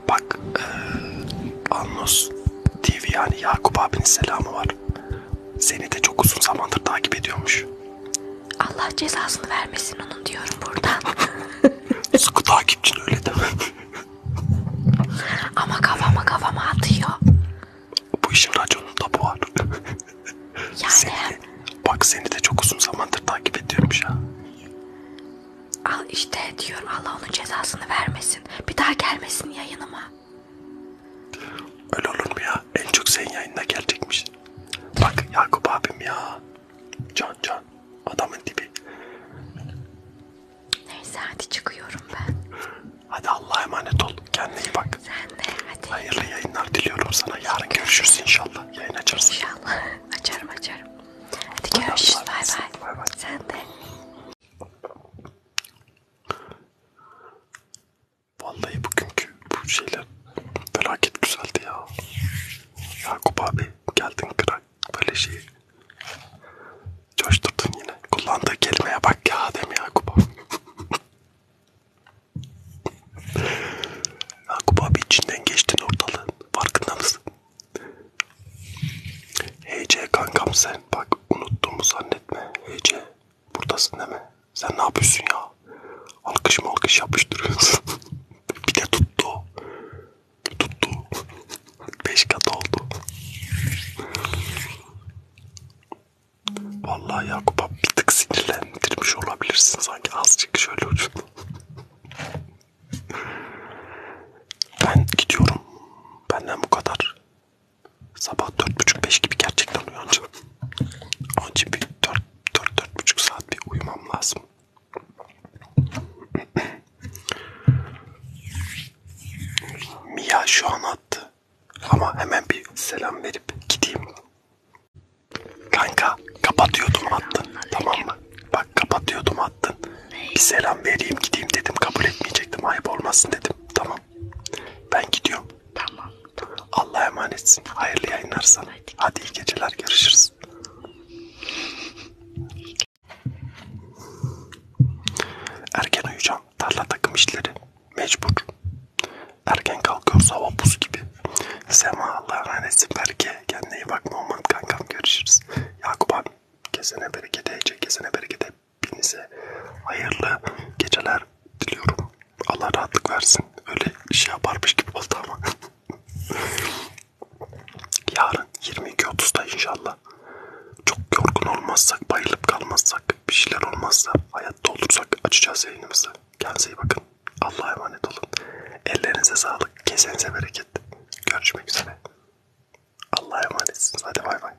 S1: Bak. E, Anlos TV yani Yakup abinin selamı var. Seni de çok uzun zamandır takip ediyormuş.
S2: Allah cezasını vermesin onun diyorum buradan.
S1: Sıkı takipçin öyle deme.
S2: Ama kafama kafama atıyor.
S1: Bu işin raconun tabu var. Yani... Seni de, bak seni de çok uzun zamandır takip ediyormuş ha.
S2: Al işte diyorum Allah onun cezasını vermesin. Bir daha gelmesin yayınıma.
S1: Öyle olur mu ya? En çok senin yayınına gelecekmiş. Bak Yakup abim ya. Can can. Adamın dibi. Neyse hadi çıkıyorum ben. Hadi Allah'a emanet ol. Kendine iyi bak. Sen de hadi. Hayırlı yayınlar diliyorum sana. Yarın
S2: görüşürüz inşallah. Yayın açarsın. İnşallah. Açarım açarım. Hadi görüşürüz. Bay bay. Sen de. Vallahi bugünkü bu şeyler felaket güzeldi ya. Yakup abi geldin
S1: kral böyle şeyi. Coşturdun yine. Kullandığı kelimeye bak ya Adem Yakup abi. Yakup abi içinden geçtin ortalığın. Farkında mısın? HC kankam sen bak unuttuğumu zannetme. HC Buradasın değil mi? Sen ne yapıyorsun ya? Alkış mı alkış yapıştırıyorsun? bir de tuttu. Tuttu. Beş kat oldu. Vallahi Yakup abi bir tık sinirlendirmiş olabilirsin sanki azıcık şöyle ucunu. ben gidiyorum. Benden bu kadar. Sabah dört buçuk beş gibi gerçekten uyanacağım. Onun için bir 4-4,5 saat bir uyumam lazım. Mia şu an attı. Ama hemen bir selam verip gideyim. Kanka kapatıyordum attın. Tamam mı? Bak kapatıyordum attın. Bir selam vereyim gideyim dedim. Kabul etmeyecektim. Ayıp olmasın dedim. Tamam. Ben gidiyorum. Tamam. tamam. Allah'a emanetsin. Hayırlı yayınlar sana. Hadi, Hadi iyi geceler. Görüşürüz. Erken uyuyacağım. Tarla takım işleri. Mecbur. Erken kalkıyoruz hava buz gibi. Sema Allah'a emanetsin. Berke kendine iyi bakma aman kankam. Görüşürüz. Yakup abi kesene bereket. Ece kesene bereket. Hepinize hayırlı geceler diliyorum. Allah rahatlık versin. Öyle şey yaparmış gibi oldu ama. Yarın 22.30'da inşallah. Çok yorgun olmazsak, bayılıp kalmazsak, bir şeyler olmazsa, hayatta olursak açacağız yayınımızı. Kendinize iyi bakın. Allah'a emanet olun. Ellerinize sağlık, kesenize bereket. Görüşmek üzere. Allah'a emanetsiniz. Hadi bay bay.